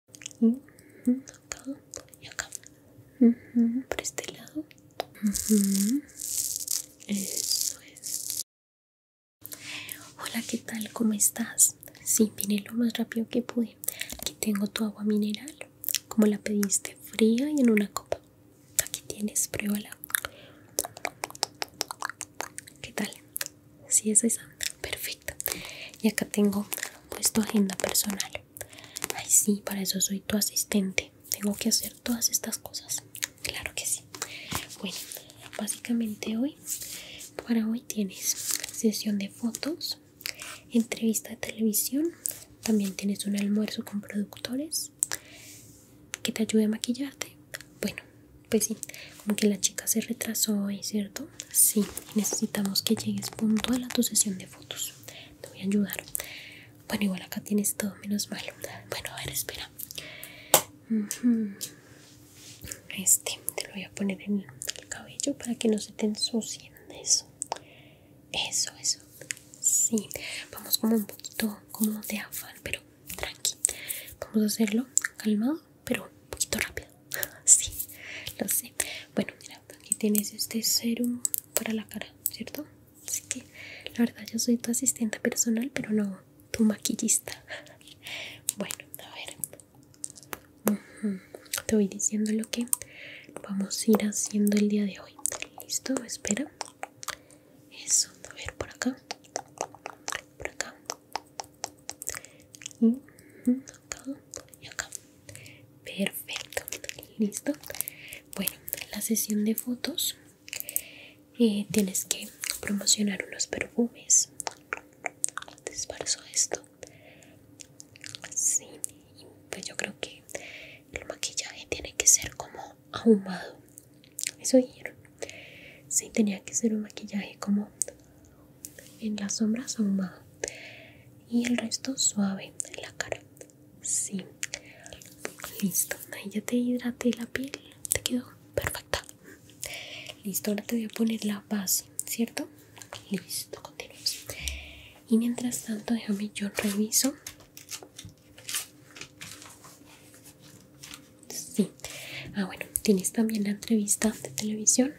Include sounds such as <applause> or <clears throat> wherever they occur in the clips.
Este acá este acá por este lado eso es hola qué tal cómo estás sí vine lo más rápido que pude aquí tengo tu agua mineral como la pediste fría y en una copa aquí tienes pruébala qué tal si eso es perfecto y acá tengo pues tu agenda personal. Ay, sí, para eso soy tu asistente. Tengo que hacer todas estas cosas. Claro que sí. Bueno, básicamente hoy, para hoy tienes sesión de fotos, entrevista de televisión, también tienes un almuerzo con productores que te ayude a maquillarte. Bueno, pues sí, como que la chica se retrasó hoy, ¿cierto? Sí, necesitamos que llegues puntual a tu sesión de fotos. Te voy a ayudar. Bueno, igual acá tienes todo menos malo. Bueno, a ver, espera. Este te lo voy a poner en el cabello para que no se te ensucien. Eso, eso, eso. Sí, vamos como un poquito como de afán, pero tranqui. Vamos a hacerlo calmado, pero un poquito rápido. <laughs> Sí, lo sé. Bueno, aquí tienes este serum para la cara, ¿cierto? Así que la verdad yo soy tu asistente personal, pero no tu maquillista. <laughs> bueno, a ver. Te voy diciendo lo que vamos a ir haciendo el día de hoy. ¿Listo? Espera. Eso, a ver, por acá. Por acá y acá y acá perfecto listo bueno la sesión de fotos eh, tienes que promocionar unos perfumes esto así pues yo creo que el maquillaje tiene que ser como ahumado eso dijeron sí tenía que ser un maquillaje como en la sombra más y el resto suave en la cara. Sí, listo. Ahí ya te hidraté la piel, te quedó perfecta. Listo, ahora te voy a poner la base, ¿cierto? Listo, continuamos. Y mientras tanto, déjame yo reviso. Sí. Ah, bueno, tienes también la entrevista de televisión.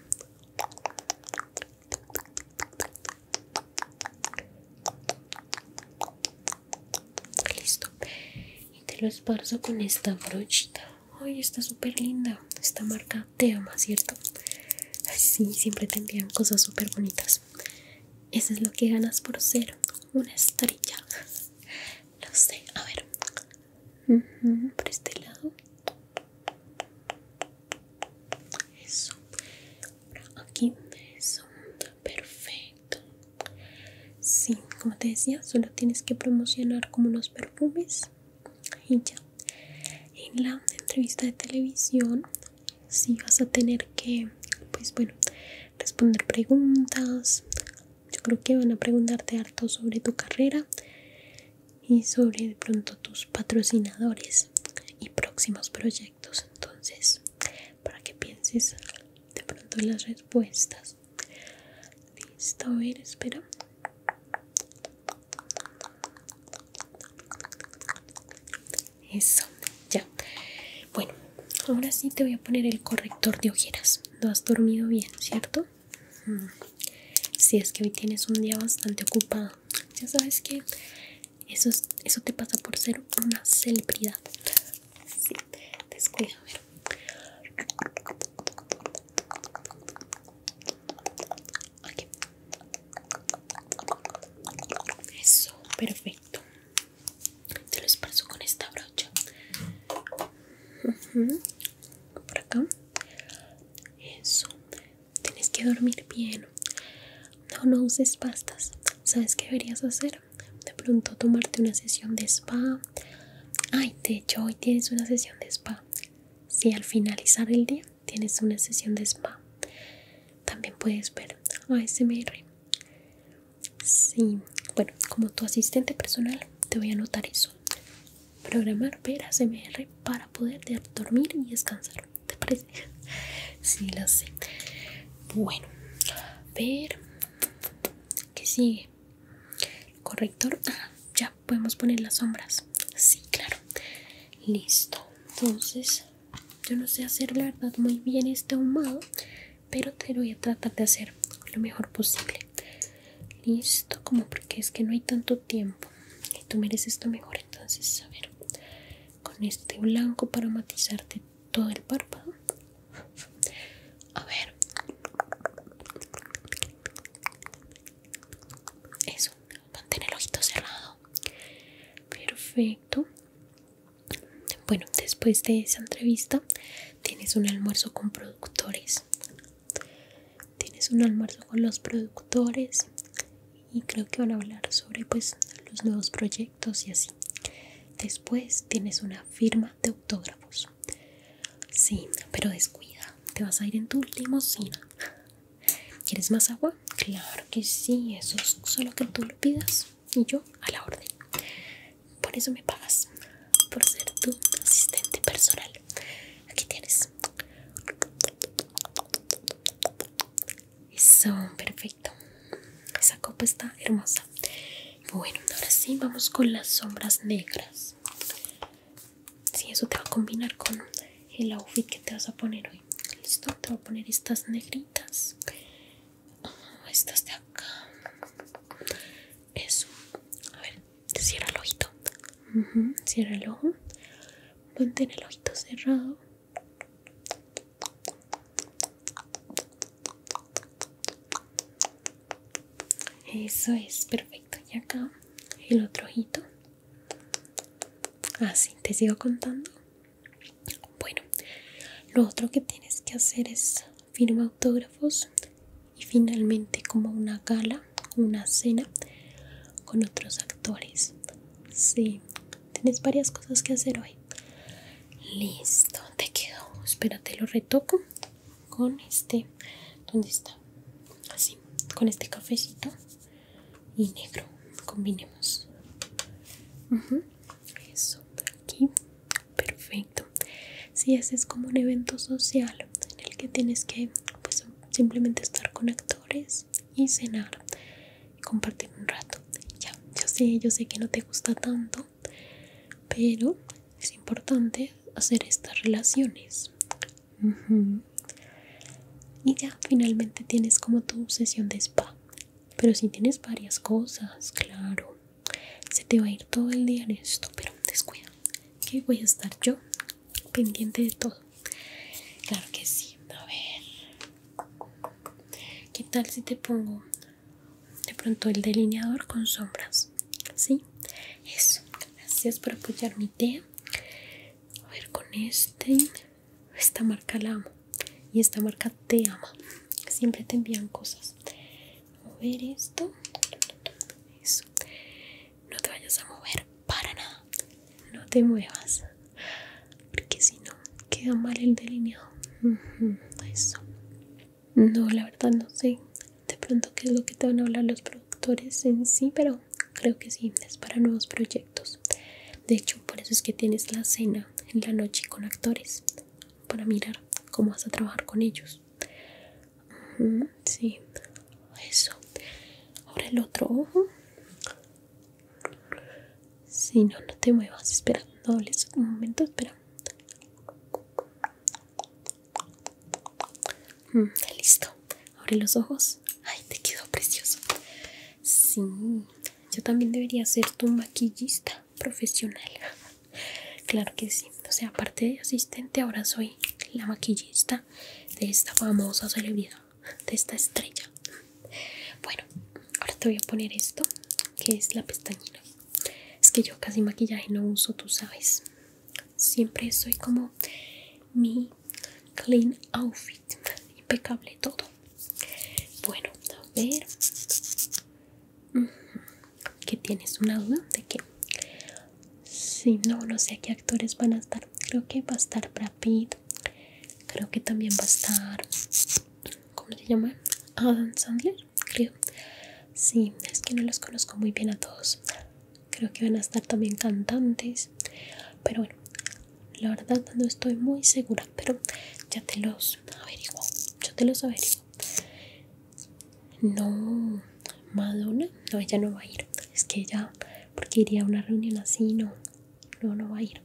Listo. Y te lo esparzo con esta brochita. Ay, está súper linda. Esta marca te ama, ¿cierto? así sí, siempre te envían cosas súper bonitas. Eso es lo que ganas por ser una estrella. Lo sé. A ver. por este lado. Eso. Ahora aquí. Eso. Perfecto. Sí, como te decía, solo tienes que promocionar como unos perfumes y ya. En la entrevista de televisión, si vas a tener que, pues bueno, responder preguntas. Yo creo que van a preguntarte harto sobre tu carrera y sobre de pronto tus patrocinadores y próximos proyectos entonces para que pienses de pronto en las respuestas listo a ver espera eso ya bueno ahora sí te voy a poner el corrector de ojeras no has dormido bien cierto mm. si es que hoy tienes un día bastante ocupado ya sabes que eso, te pasa por ser una celebridad. Sí, a ver. ok Eso, perfecto. Te lo esparzo con esta brocha. Por acá. Eso tienes que dormir bien. No, no uses pastas. ¿Sabes qué deberías hacer? De pronto tomarte una sesión de spa. Ay, de hecho hoy tienes una sesión de spa. Si al finalizar el día tienes una sesión de spa. También puedes ver ASMR. Sí, bueno, como tu asistente personal te voy a anotar eso. Programar ver ASMR para poder dormir y descansar. ¿Te parece? Sí, lo sé. Bueno, a ver. ¿Qué sigue? Corrector. Ah, ya podemos poner las sombras. Sí, claro. Listo. Entonces, yo no sé hacer la verdad muy bien este ahumado, pero te lo voy a tratar de hacer lo mejor posible. Listo, como porque es que no hay tanto tiempo y tú mereces esto mejor entonces a ver con este blanco para matizarte todo el párpado a ver eso mantén el ojito cerrado perfecto bueno después de esa entrevista tienes un almuerzo con productores tienes un almuerzo con los productores y creo que van a hablar sobre pues los nuevos proyectos y así. Después tienes una firma de autógrafos. Sí, pero descuida, te vas a ir en tu limosina. ¿Quieres más agua? Claro que sí, eso es solo que tú lo pidas y yo a la orden. Por eso me pagas, por ser tu asistente personal. Aquí tienes. Eso, perfecto. Esa copa está hermosa. Bueno, ahora sí vamos con las sombras negras. Si sí, eso te va a combinar con el outfit que te vas a poner hoy. Listo, te voy a poner estas negritas. estas de acá. Eso. A ver, cierra el ojito. cierra el ojo. Mantén el ojito cerrado. Eso es perfecto. Y acá el otro ojito. Así, te sigo contando. Bueno, lo otro que tienes que hacer es firmar autógrafos y finalmente como una gala, una cena con otros actores. Sí, tienes varias cosas que hacer hoy. Listo, te quedó. Espérate, lo retoco con este. ¿Dónde está? Así, con este cafecito y negro. Combinemos. Eso, aquí. Perfecto. Si haces como un evento social en el que tienes que pues, simplemente estar con actores y cenar y compartir un rato ya yo sé yo sé que no te gusta tanto pero es importante hacer estas relaciones y ya finalmente tienes como tu sesión de spa pero si tienes varias cosas claro se te va a ir todo el día en esto pero descuida que voy a estar yo pendiente de todo Claro que sí, a ver. ¿Qué tal si te pongo de pronto el delineador con sombras? ¿Sí? Eso, gracias por apoyar mi idea. A ver, con este, esta marca la amo y esta marca te ama. Siempre te envían cosas. A ver esto. Eso. No te vayas a mover para nada no te muevas porque si no queda mal el delineado eso no la verdad no sé de pronto qué es lo que te van a hablar los productores en sí pero creo que sí es para nuevos proyectos de hecho por eso es que tienes la cena en la noche con actores para mirar cómo vas a trabajar con ellos sí eso ahora el otro ojo si no, no te muevas. Espera, dobles un momento. Mm, Espera. listo. Abre los ojos. Ay, te quedó precioso. Sí, yo también debería ser tu maquillista profesional. Claro que sí. O sea, aparte de asistente, ahora soy la maquillista de esta famosa celebridad de esta estrella bueno ahora te voy a poner esto que es la pestañina es que yo casi maquillaje no uso tú sabes siempre soy como mi clean outfit impecable todo bueno a ver que tienes una duda de que si no no sé qué actores van a estar creo que va a estar Brad creo que también va a estar ¿cómo se llama? Adam Sandler creo sí es que no los conozco muy bien a todos creo que van a estar también cantantes pero bueno la verdad no estoy muy segura pero ya te los averiguo ya te los averiguo no Madonna no ella no va a ir es que ella porque iría a una reunión así no no, no va a ir.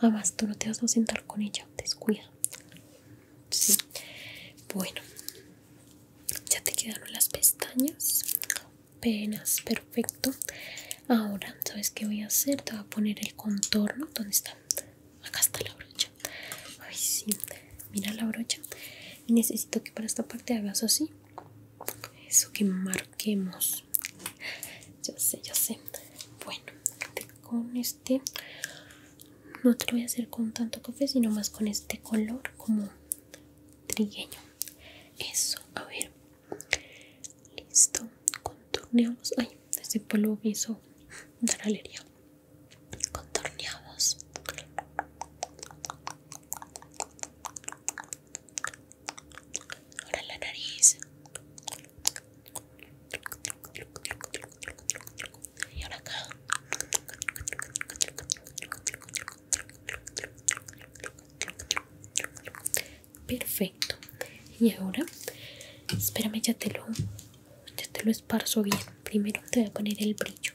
más, tú no te vas a sentar con ella, descuida. Sí, bueno, ya te quedaron las pestañas, apenas perfecto. Ahora, ¿sabes qué voy a hacer? Te voy a poner el contorno. ¿Dónde está? Acá está la brocha. Ay, sí, mira la brocha. Y necesito que para esta parte hagas así. Eso que marquemos ya sé, ya sé. Bueno, con este no te voy a hacer con tanto café, sino más con este color como trigueño. Eso, a ver. Listo. Contorneamos. Ay, ese polvo hizo dar alegría. Contorneamos. Ahora la nariz. Y ahora acá. Perfecto. Y ahora, espérame, ya te lo, ya te lo esparzo bien. Primero te voy a poner el brillo.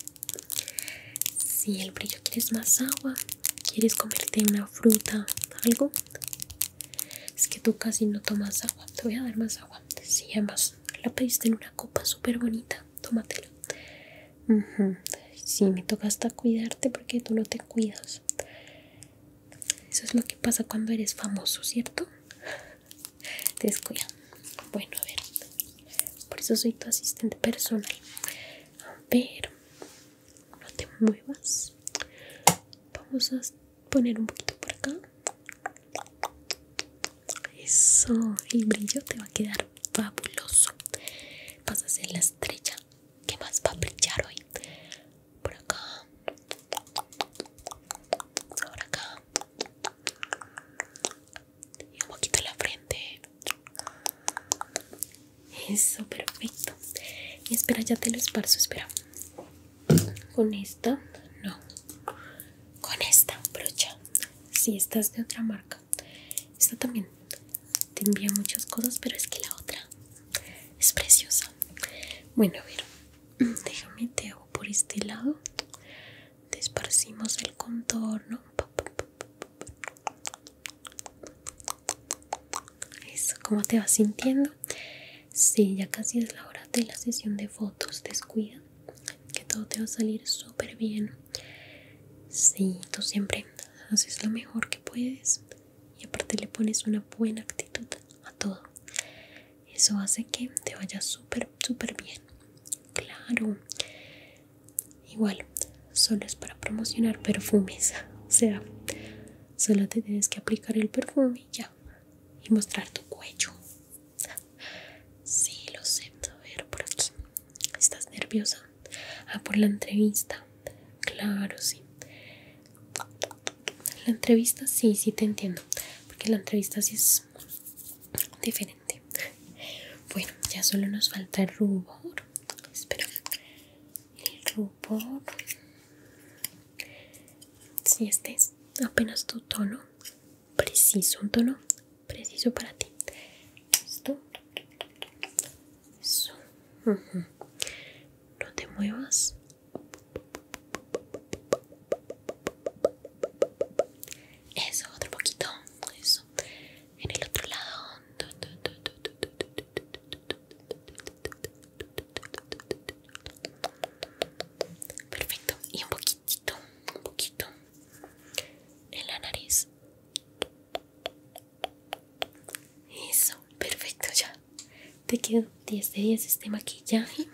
Si el brillo quieres más agua, quieres comerte una fruta, algo, es que tú casi no tomas agua. Te voy a dar más agua. si además la pediste en una copa súper bonita. Tómatela. si Sí, me toca hasta cuidarte porque tú no te cuidas. Eso es lo que pasa cuando eres famoso, ¿cierto? Te Bueno, a ver. Por eso soy tu asistente personal. A ver no te muevas vamos a poner un poquito por acá eso el brillo te va a quedar fabuloso vas a ser la estrella que más va a brillar hoy por acá por acá y un poquito en la frente eso, perfecto. Y espera, ya te lo esparzo, espera. Con esta, no. Con esta brocha. Si esta es de otra marca. Esta también te envía muchas cosas, pero es que la otra es preciosa. Bueno, a ver, <clears throat> déjame te hago por este lado. esparcimos el contorno eso, como te vas sintiendo? Sí, ya casi es la hora de la sesión de fotos, descuida que todo te va a salir súper bien. Sí, tú siempre haces lo mejor que puedes y aparte le pones una buena actitud a todo. Eso hace que te vaya súper, súper bien. Claro. Igual, solo es para promocionar perfumes. <laughs> O sea, Solo te tienes que aplicar el perfume y ya. Y mostrar tu cuello. Sí, lo sé. A ver, por aquí. ¿Estás nerviosa? Ah, por la entrevista. Claro, sí. La entrevista sí, sí te entiendo. Porque la entrevista sí es diferente. Bueno, ya solo nos falta el rubor. Espera. El rubor por si este es apenas tu tono preciso un tono preciso para ti esto eso no te muevas eso otro poquito eso en el otro lado Perfecto. Y un poquitito, un poquito en la nariz. Eso, perfecto ya. Te quedó 10 de 10 este maquillaje.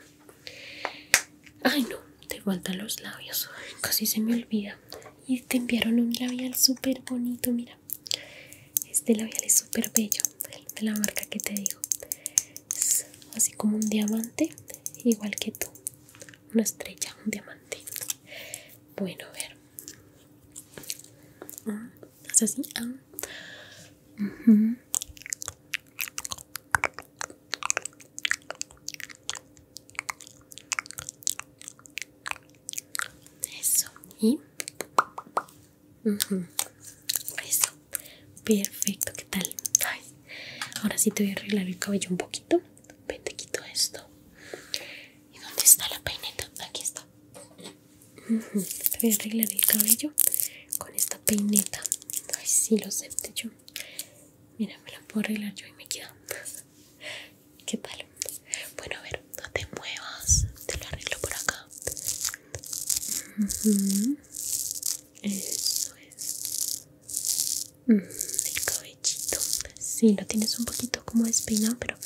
Ay no, te faltan los labios. Casi se me olvida. Y te enviaron un labial súper bonito, mira. Este labial es súper bello de la marca que te digo es así como un diamante igual que tú una estrella un diamante bueno a ver ah, así ah. Eso, eso, perfecto, ¿qué tal? ahora sí te voy a arreglar el cabello un poquito. Ven, te quito esto. ¿Y dónde está la peineta? Aquí está. Te voy a arreglar el cabello con esta peineta. Ay, sí, lo acepté yo. Mira, me la puedo arreglar yo y me queda. ¿Qué tal? Bueno, a ver, no te muevas, te lo arreglo por acá. Eso es. el cabellito, si lo tienes un poquito como espina pero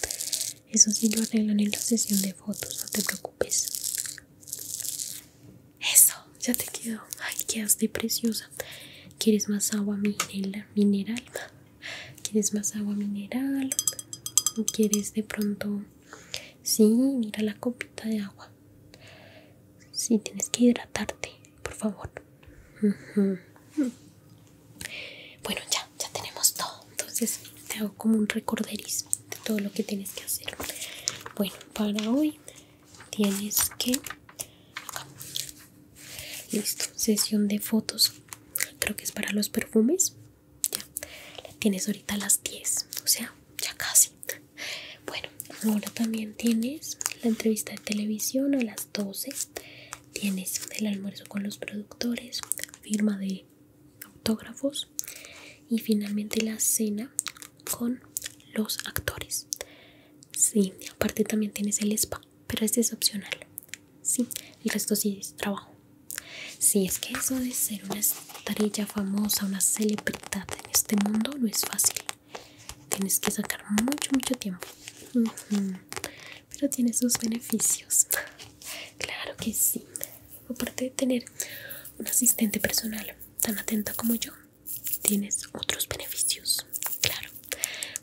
eso sí lo arreglan en la sesión de fotos, no te preocupes. Eso, ya te quedó. Ay, quedaste preciosa. ¿Quieres más agua mineral? ¿Quieres más agua mineral? ¿O quieres de pronto Sí, mira la copita de agua. Sí, tienes que hidratarte, por favor. Bueno, ya, ya tenemos todo. Entonces te hago como un recorderismo de todo lo que tienes que hacer. Bueno, para hoy tienes que... Listo, sesión de fotos. Creo que es para los perfumes ya tienes ahorita las 10 o sea ya casi bueno ahora también tienes la entrevista de televisión a las 12 tienes el almuerzo con los productores firma de autógrafos y finalmente la cena con los actores sí aparte también tienes el spa pero este es opcional sí el resto sí es trabajo si es que eso de ser una estrella famosa, una celebridad en este mundo no es fácil. Tienes que sacar mucho, mucho tiempo. Pero tiene sus beneficios. Claro que sí. Aparte de tener un asistente personal tan atenta como yo, tienes otros beneficios. Claro.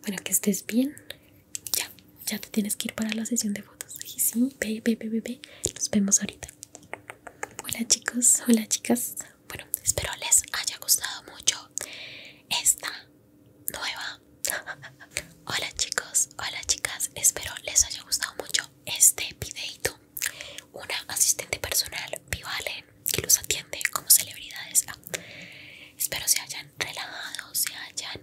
Bueno, que estés bien. Ya, ya te tienes que ir para la sesión de fotos. Y sí, bebé, bebé, bebé. Nos vemos ahorita. Hola chicos, hola chicas. Bueno, espero les haya gustado mucho esta nueva. <laughs> hola chicos, hola chicas. Espero les haya gustado mucho este videito. Una asistente personal, Vivalen, que los atiende como celebridades. Ah, espero se hayan relajado, se hayan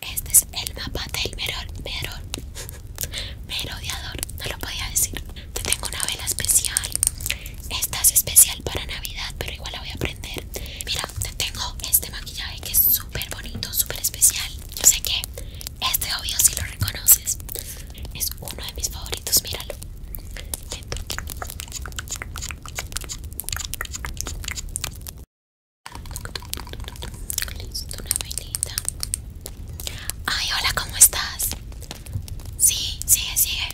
este es el mapa del Merol, <laughs> Merol, melodiador, no lo podía decir. Te tengo una vela especial. Esta es especial para Navidad, pero igual la voy a prender. Mira, te tengo este maquillaje que es súper bonito, súper especial. Yo sé que este obvio si lo reconoces. Es uno de mis favoritos, míralo. Listo, una Ay, hola, ¿cómo estás? Sí, sigue, sigue.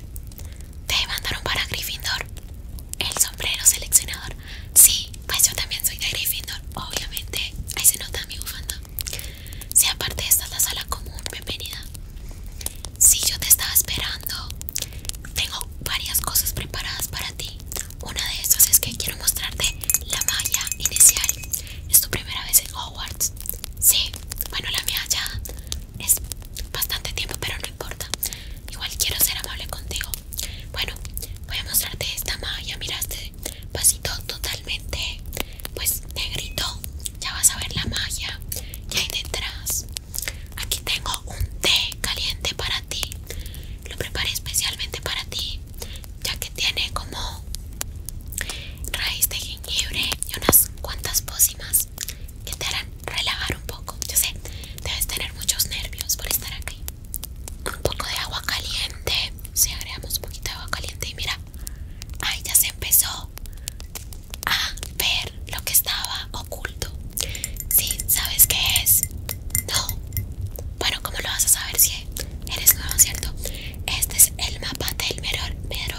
Te mandaron para Gryffindor. El sombrero seleccionador. Sí, pues yo también soy de Gryffindor, obviamente. Ahí se nota mi bufanda. Sí, aparte esta es la sala común, bienvenida. Sí, yo te estaba esperando. Tengo varias cosas preparadas para ti. Una de estas es que quiero mostrarte la malla inicial. Es tu primera vez en Hogwarts. Sí, bueno, la mía ya es bastante tiempo, pero no importa. Igual quiero ser amable contigo. Bueno, voy a mostrarte esta malla. Mira este vasito totalmente, pues negrito. Ya vas a ver la malla que hay detrás. Aquí tengo un té caliente para ti. Lo preparé especialmente para ti ya que tiene como raíz de jengibre y unas cuantas pócimas que te harán relajar un poco. Yo sé, debes tener muchos nervios por estar aquí. Un poco de agua caliente. Si agregamos un poquito de agua caliente y mira, ahí ya se empezó a ver lo que estaba oculto. Sí, ¿sabes qué es? No, bueno, ¿cómo lo vas a saber si eres nuevo, cierto? Este es el mapa del meror, <laughs>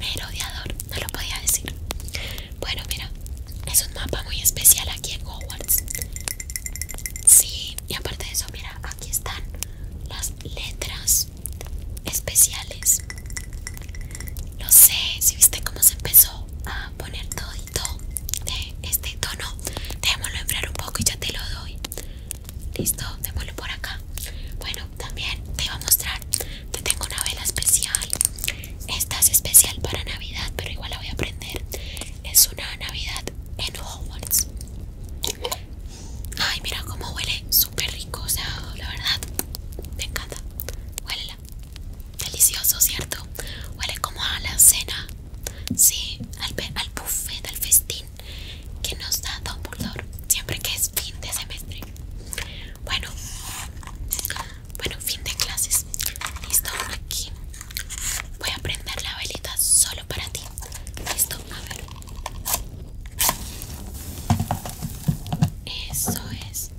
merodeador, no lo podía decir. Bueno, mira, es un mapa muy especial aquí en Hogwarts. Sí, y aparte de eso, mira, aquí están las letras especiales. No sé si viste cómo se empezó a poner todo de este tono Démoslo enfriar un poco y ya te lo doy Listo, démoslo por acá Bueno, también te iba a mostrar Te tengo una vela especial Esta es especial para Navidad Pero igual la voy a prender Es una Navidad en Hogwarts Ay, mira cómo huele Súper rico, o sea, la verdad Me encanta huele Delicioso, ¿cierto? Huele como a la cena Sí, al, buffet, al festín que nos da Dumbledore siempre que es fin de semestre. Bueno, bueno, fin de clases. Listo, aquí voy a prender la velita solo para ti. Listo, a ver. Eso es.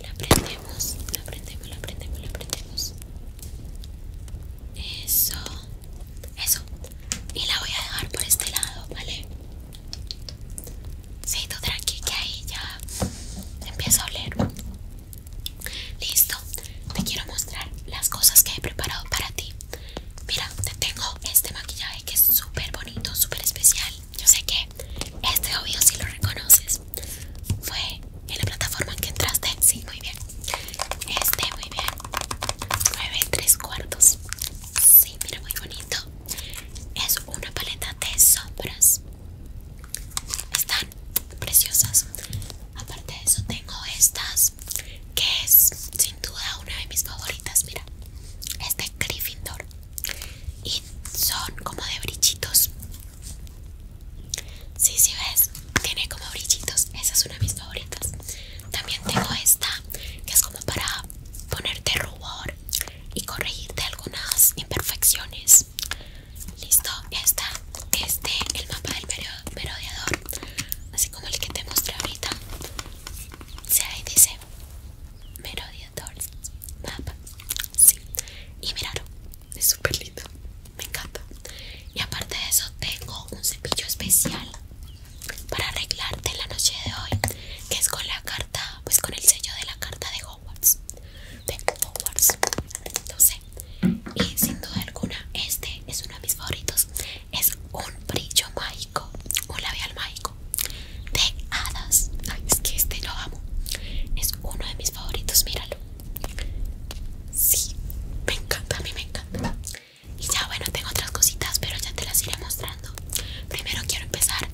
La aprendemos, la prendemos, la prendemos, la prendemos. Eso. Eso. Y la voy a dejar por este lado, ¿vale? Sí, tú tranqui que ahí ya empieza a oler. Listo. Te quiero mostrar las cosas que he preparado para ti. Mira, te tengo este maquillaje que es súper bonito, súper especial. Yo sé que este obvio si lo reconoces. Fue en la plataforma en que entraste. Sí, muy bien. Este, muy bien. 9 3 cuartos. Sí, mira, muy bonito. Es una paleta de sombras. Están preciosas. Aparte de eso, tengo estas que es sin duda una de mis favoritas. Mira, este Gryffindor y son como de brillitos. Sí, sí ves, tiene como brillitos. Esa es una de mis favoritas. También tengo esta que es como para ponerte rubor y corregirte algunas imperfecciones. Listo, esta Este, el mapa del merodeador, así como el que te mostré ahorita. Se ahí dice merodeador, mapa. Sí, y miraron es súper lindo, me encanta. Y aparte de eso, tengo un cepillo especial para arreglarte la noche de hoy, que es con la carta, pues con el sello de la carta de Hogwarts. De Hogwarts, entonces Y sin duda alguna, este es uno de mis favoritos. Es un brillo mágico, un labial mágico de hadas. es que este lo amo. Es uno de mis favoritos, míralo. Sí, me encanta, a mí me encanta. Y ya bueno, tengo otras cositas, pero ya te las iré mostrando. Primero quiero empezar,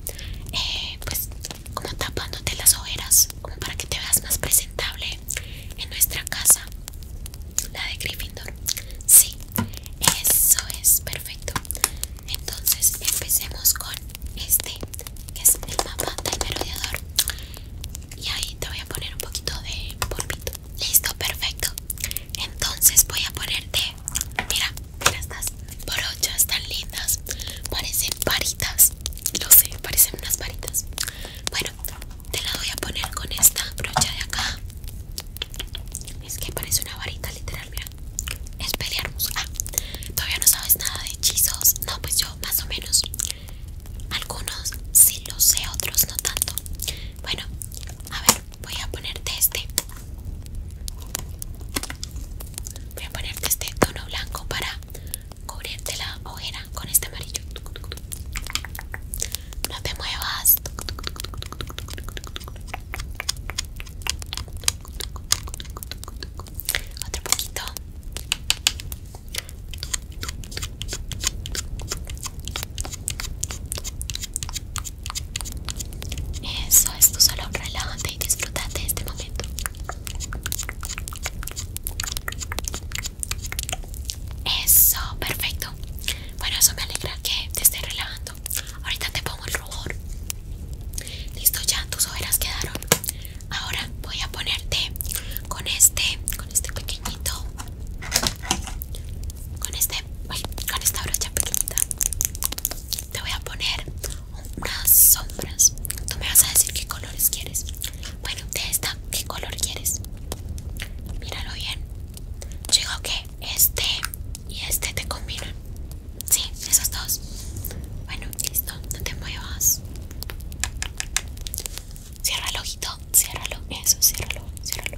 eh, pues, como tapándote las ojeras, como para que te veas más presentable en nuestra casa, la de Gryffindor. Sí, eso es perfecto. Entonces empecemos con este, que es el mapa del merodeador y ahí te voy a poner un poquito de polvito. Listo, perfecto. Entonces voy a ponerte, mira, mira estas brochas tan lindas, parecen varitas, lo sé, parecen unas varitas. Bueno, te la voy a poner con esta brocha de acá. Es que parece una varita literal, mira. Es pelearnos. Ah, todavía no sabes nada de hechizos. No, pues yo más o menos. Algunos sí lo sé, otros no tanto. Bueno, a ver, voy a ponerte este. Voy a ponerte este tono blanco para cubrirte la ojera con este amarillo. No te muevas. Otro poquito. Eso es, tu solo relájate y disfrútate de este momento. Eso, perfecto. Bueno, eso me alegra que te esté relajando. Ahorita te pongo el rubor. Listo, ya tus ojeras quedaron. Ahora voy a ponerte con este, con este pequeñito con este con esta brocha pequeñita te voy a poner unas sombras tú me vas a decir qué colores quieres bueno de esta qué color quieres míralo bien yo digo que este y este te combinan sí esos dos bueno listo no te muevas Cierra ojito, ciérralo, eso, ciérralo, ciérralo.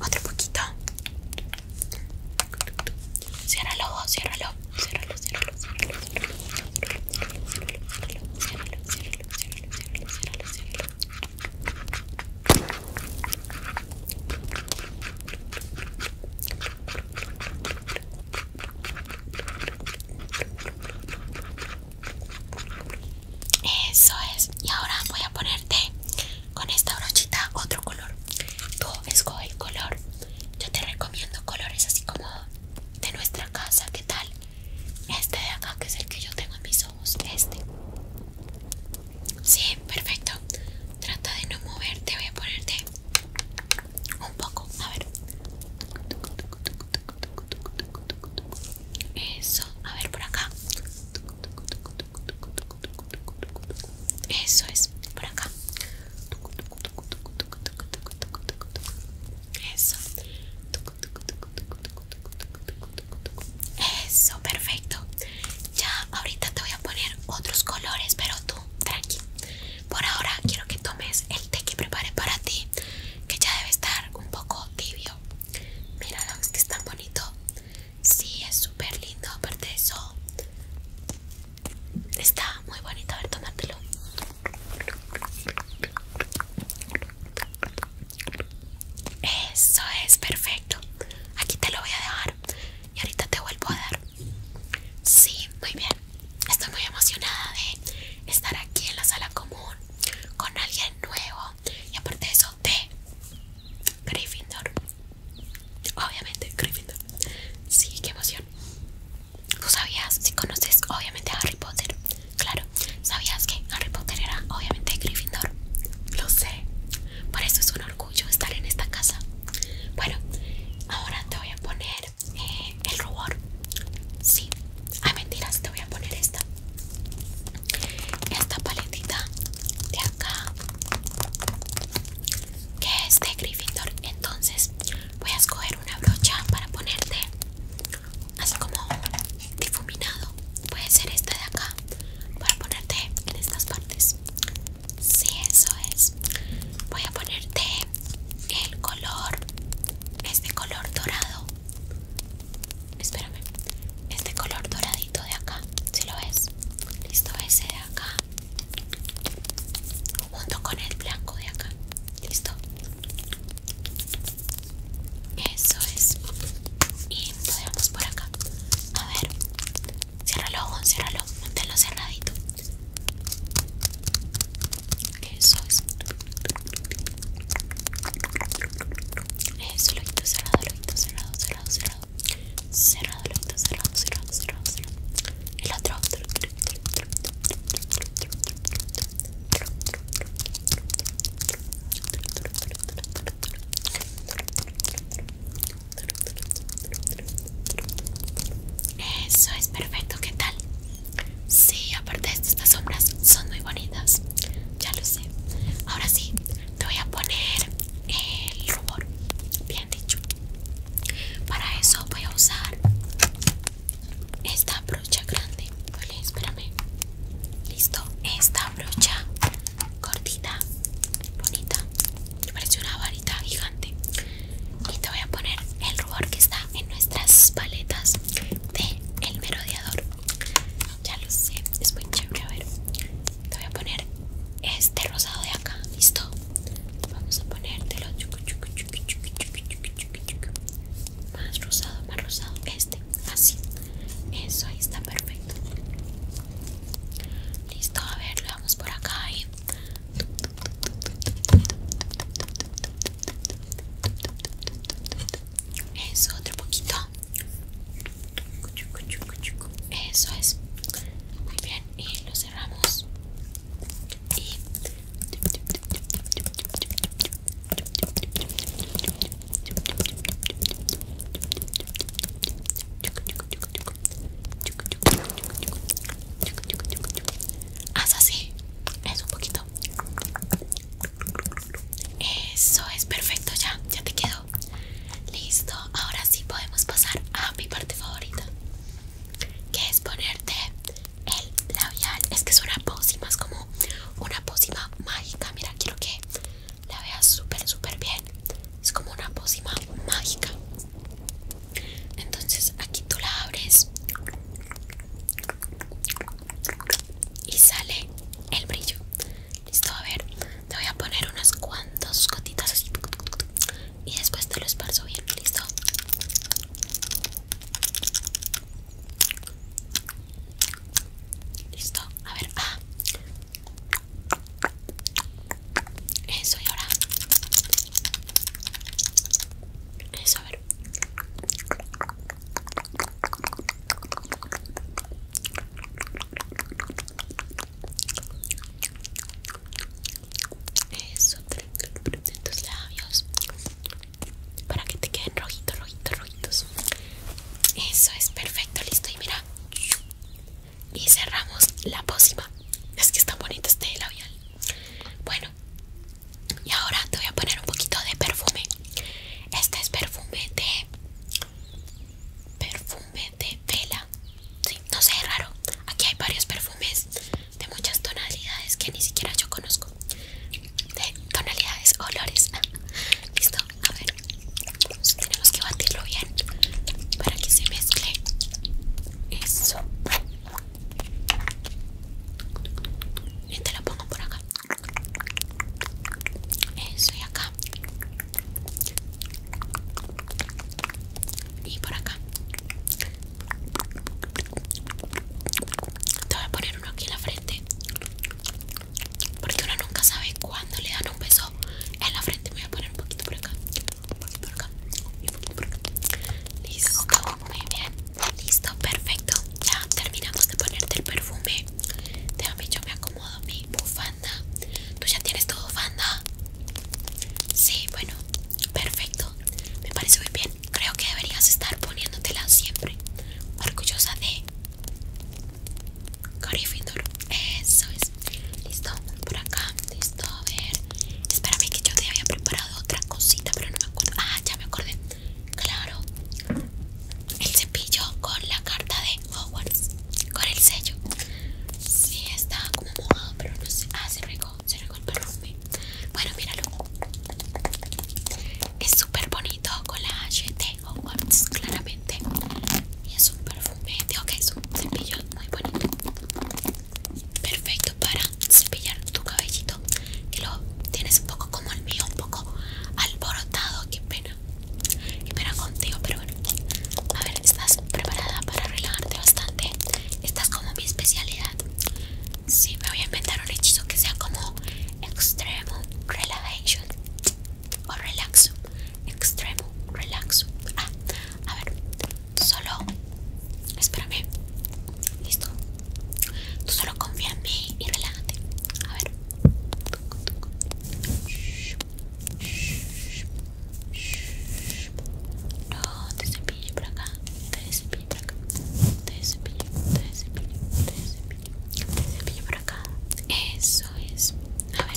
Otro poquito. Ciérralo, ciérralo, ciérralo, ciérralo, ciérralo, ciérralo. Eso es. Y ahora voy a ponerte con esta brochita otro color. Tú escoge el color. Yo te recomiendo colores así como de nuestra casa. ¿Qué tal? Este de acá que es el que yo tengo en mis este. Sí, perfecto. Trata de no moverte, voy a ponerte un poco. A ver. Eso, a ver por acá. Eso es, por acá. Eso. Eso, perfecto. Ya ahorita te voy a poner otros colores, pero tú, tranqui. Por ahora quiero que tomes el té que preparé para ti, que ya debe estar un poco tibio. Míralo, es que es tan bonito. Sí, es súper lindo, aparte de eso. Está muy bonito, a ver, tómatelo. Eso es, perfecto. Aquí te lo voy a dejar y ahorita te vuelvo a dar. Sí, muy bien. Estoy muy emocionada de estar aquí en la sala común con alguien nuevo y aparte de eso de Gryffindor. Obviamente, Gryffindor. Sí, qué emoción. ¿Tú sabías si conoces obviamente a Harry Potter? Claro, ¿sabías que Harry Potter era obviamente Gryffindor? Lo sé. Por eso es uno orgullo estar en esta casa. Bueno, ahora te voy a poner eh, el rubor. Sí, a mentiras, te voy a poner esta. Esta paletita de acá, que es de Gryffindor. Entonces, voy a escoger una brocha para ponerte así como difuminado. Puede ser esta de acá Voy para ponerte en estas partes Sí, eso es Voy a ponerte el color Este color dorado Espérame Este color doradito de acá Si lo ves Listo, ese de acá Junto con el blanco de acá Listo Eso es Y lo por acá a ver, cierra los ojos, ciérralo, manténlo cerradito. Eso es. Eso, lo quito cerrado, lo quito cerrado, cerrado, cerrado. Cerrado, cerrado, cerrado, cerrado, cerrado. El otro. Eso es perfecto, ¿qué tal? Sí, aparte de estas sombras son muy bonitas. Ya lo sé. Ahora sí, te voy a poner el rubor. Bien dicho. Para eso voy a usar esta brocha grande. Vale, espérame. Listo. Esta brocha cortita bonita parece una varita gigante y te voy a poner el rubor que está en nuestras paletas de el merodeador ya lo sé es muy chévere a ver te voy a poner este rosado de acá listo vamos a ponértelo más rosado más rosado este así eso ahí está perfecto Listo, a ver, lo damos por acá y... Eso, otro poquito. Eso es. Muy bien, y lo cerramos. Y... Haz así, es un poquito. Eso es perfecto, ya, ya te quedó. Listo, ahora sí podemos pasar a mi parte favorita, que es ponerte el labial. Es que es una pócima, es como una pócima mágica. Mira, quiero que la veas súper súper bien es como una pócima mágica entonces aquí tú la abres y sale el brillo listo a ver te voy a poner unas cuantas gotitas y después te lo esparzo bien listo listo a ver ah eso y ahora. Eso, a ver. Eso, en tus labios para que te queden rojitos, rojitos, rojitos. Eso es perfecto, listo. Y mira, y cerramos la pócima. Es que está bonito este labial. Bueno, y ahora te voy a poner un poquito de perfume. Este es perfume de. Perfume de vela. Sí, no sé, es raro. Aquí hay varios perfumes de muchas tonalidades que ni siquiera yo conozco. De tonalidades, olores. Ah, listo, a ver. Tenemos que batirlo bien para que se mezcle. Eso. Y te lo pongo por acá. Eso y acá. Y por acá. Te voy a poner uno aquí en la frente. Porque uno nunca sabe cuándo le dan un beso en la frente me voy a poner un poquito por acá un poquito por acá un poquito por acá listo muy bien listo perfecto ya terminamos de ponerte el perfume déjame yo me acomodo mi bufanda tú ya tienes todo bufanda sí bueno perfecto me parece muy bien creo que deberías estar poniéndotela siempre orgullosa de Findor, eso es. Listo, por acá, listo, a ver. Espérame que yo te había preparado otra cosita, pero no me acuerdo. Ah, ya me acordé. Claro, el cepillo con la carta de Hogwarts, con el sello. Sí, está como mojado, pero no sé. Ah, se regó, se regó el perfume. Bueno, míralo. Es súper bonito con la H de Hogwarts, claramente. Y es súper perfume digo ok es un cepillo muy bonito perfecto para cepillar tu cabellito que lo tienes un poco como el mío un poco alborotado qué pena qué pena contigo pero bueno a ver estás preparada para relajarte bastante esta es como mi especialidad Sí, me voy a inventar un hechizo que sea como Extremo Relaxation o Relaxo extremo relax ah, a ver solo espérame listo tú solo confía en mí y relájate a ver no te cepilles por acá te cepilles por acá te cepillo te cepillo te te por acá eso es a ver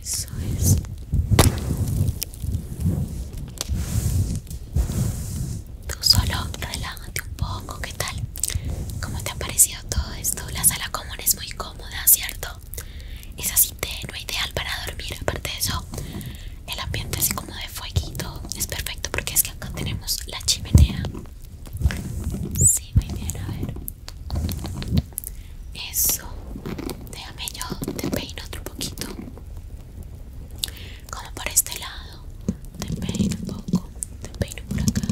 eso es. Tú solo relájate un poco, ¿qué tal? ¿Cómo te ha parecido todo esto? La sala común es muy cómoda, ¿cierto? Es así tenue, ideal para dormir. Aparte de eso, el ambiente así como de fueguito es perfecto porque es que acá tenemos la chimenea Sí, muy bien, a ver. Eso. Déjame yo, te peino otro poquito. Como por este lado. Te peino un poco. Te peino por acá.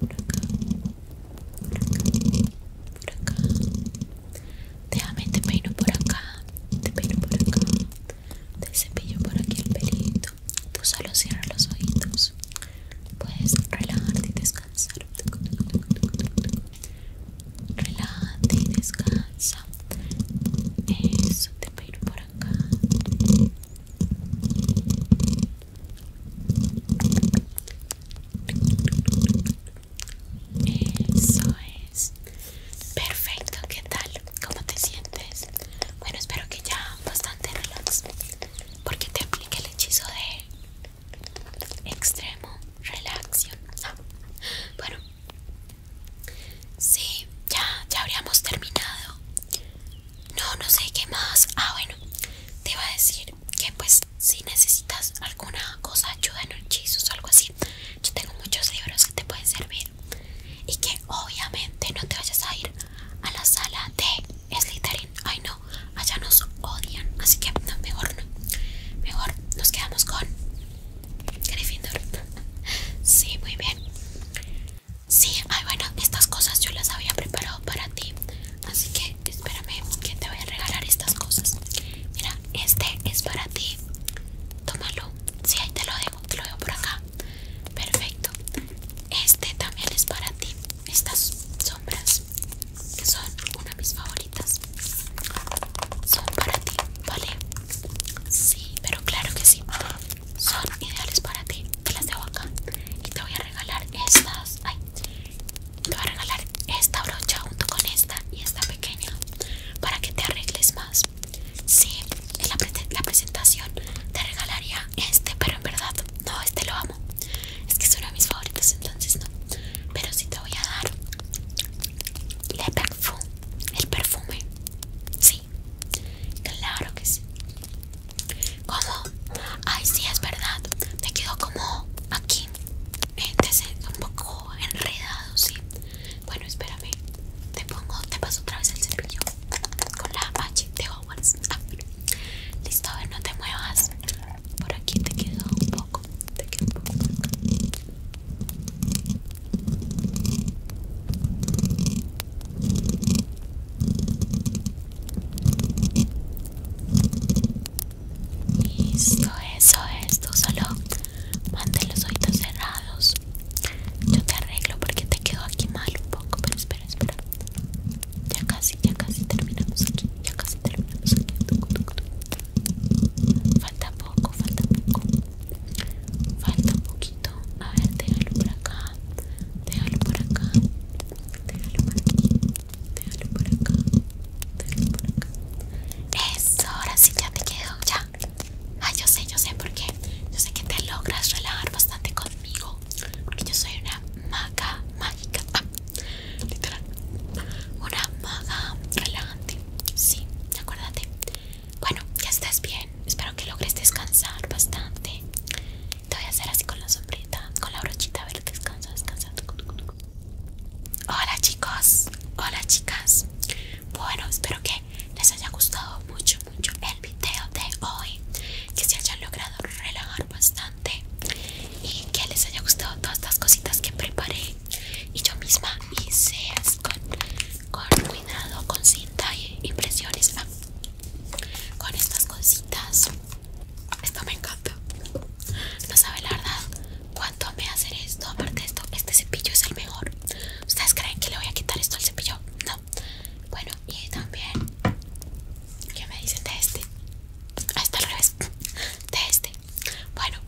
Por acá. Por acá. Por Déjame, te peino por acá. Te peino por acá. Te cepillo por aquí el pelito. Tú solo cierra los ojitos. Puedes relajarte y descansar. Relájate y descansa. Eso, te va a ir por acá. Eso es. Perfecto, ¿qué tal? ¿Cómo te sientes? Bueno, espero que ya bastante relax porque te apliqué el hechizo de extremo relaxion. Ah, bueno, sí, ya, ya habríamos terminado. No, no sé qué más. Ah, bueno, te iba a decir que pues si necesitas alguna cosa, ayuda en hechizos o algo así, yo tengo muchos libros que te pueden servir y que obviamente no te vayas a ir a la sala de Slytherin. Ay no, allá nos odian, así que mejor no. Mejor nos quedamos con Gryffindor. sí, muy bien. Sí, ay bueno, estas cosas yo las había preparado para ti. Así que espérame que te voy a regalar estas cosas. Mira, este es para ti. Tómalo. Sí, ahí te lo dejo, te lo dejo por acá. Perfecto. Este también es para ti estas sombras que son una de mis favoritas son para ti, ¿vale? Sí, pero claro que sí, son ideales para ti. Te las dejo acá y te voy a regalar estas. Ay, te voy a regalar esta brocha junto con esta y esta pequeña para que te arregles más. Sí, en la, presentación te regalaría este, pero en verdad no, este lo es que es uno de mis favoritos, entonces no. Pero si te voy a dar el perfume el perfume. Sí, claro que sí. Como, ay, sí, es verdad. te quedo como aquí, un poco enredado, sí. Bueno, espérame. Te pongo, te paso otra vez el cepillo con la H listo, a ver, no te muevas. Por aquí te quedó un poco. Te Listo, eso es. solo mantén los oídos cerrados. Yo te arreglo porque te quedó aquí mal un poco. Pero espera, espera. Ya casi, ya casi terminamos aquí. Ya casi terminamos aquí. Falta poco, falta poco. Falta un poquito. A ver, déjalo por acá. Déjalo por acá. Déjalo por aquí. Déjalo por acá. Déjalo por acá. Eso, ahora sí ya te quedó. Ya. Ah, yo sé, yo sé por qué. Yo sé que te logras relajar bastante conmigo porque yo soy una maga mágica, ah, literal, una maga relajante, sí, acuérdate. Bueno, ya estás bien, espero que logres descansar bastante. Te voy a hacer así con la sombrita, con la brochita, a ver, descansa, descansa. Hola chicos, hola chicas. Bueno, espero que les haya gustado mucho, mucho el video de hoy. Que se hayan logrado relajar bastante y que les haya gustado todas estas cositas que preparé y yo misma hice con, cuidado, con cinta y impresiones ah, con estas cositas. Esto me encanta. No sabe la verdad cuánto me hace esto. Aparte de esto, este cepillo es el mejor. ¿Ustedes creen que le voy a quitar esto al cepillo? No. Bueno, y también ¿Qué me dicen de este? Ahí está al revés. De este. Bueno,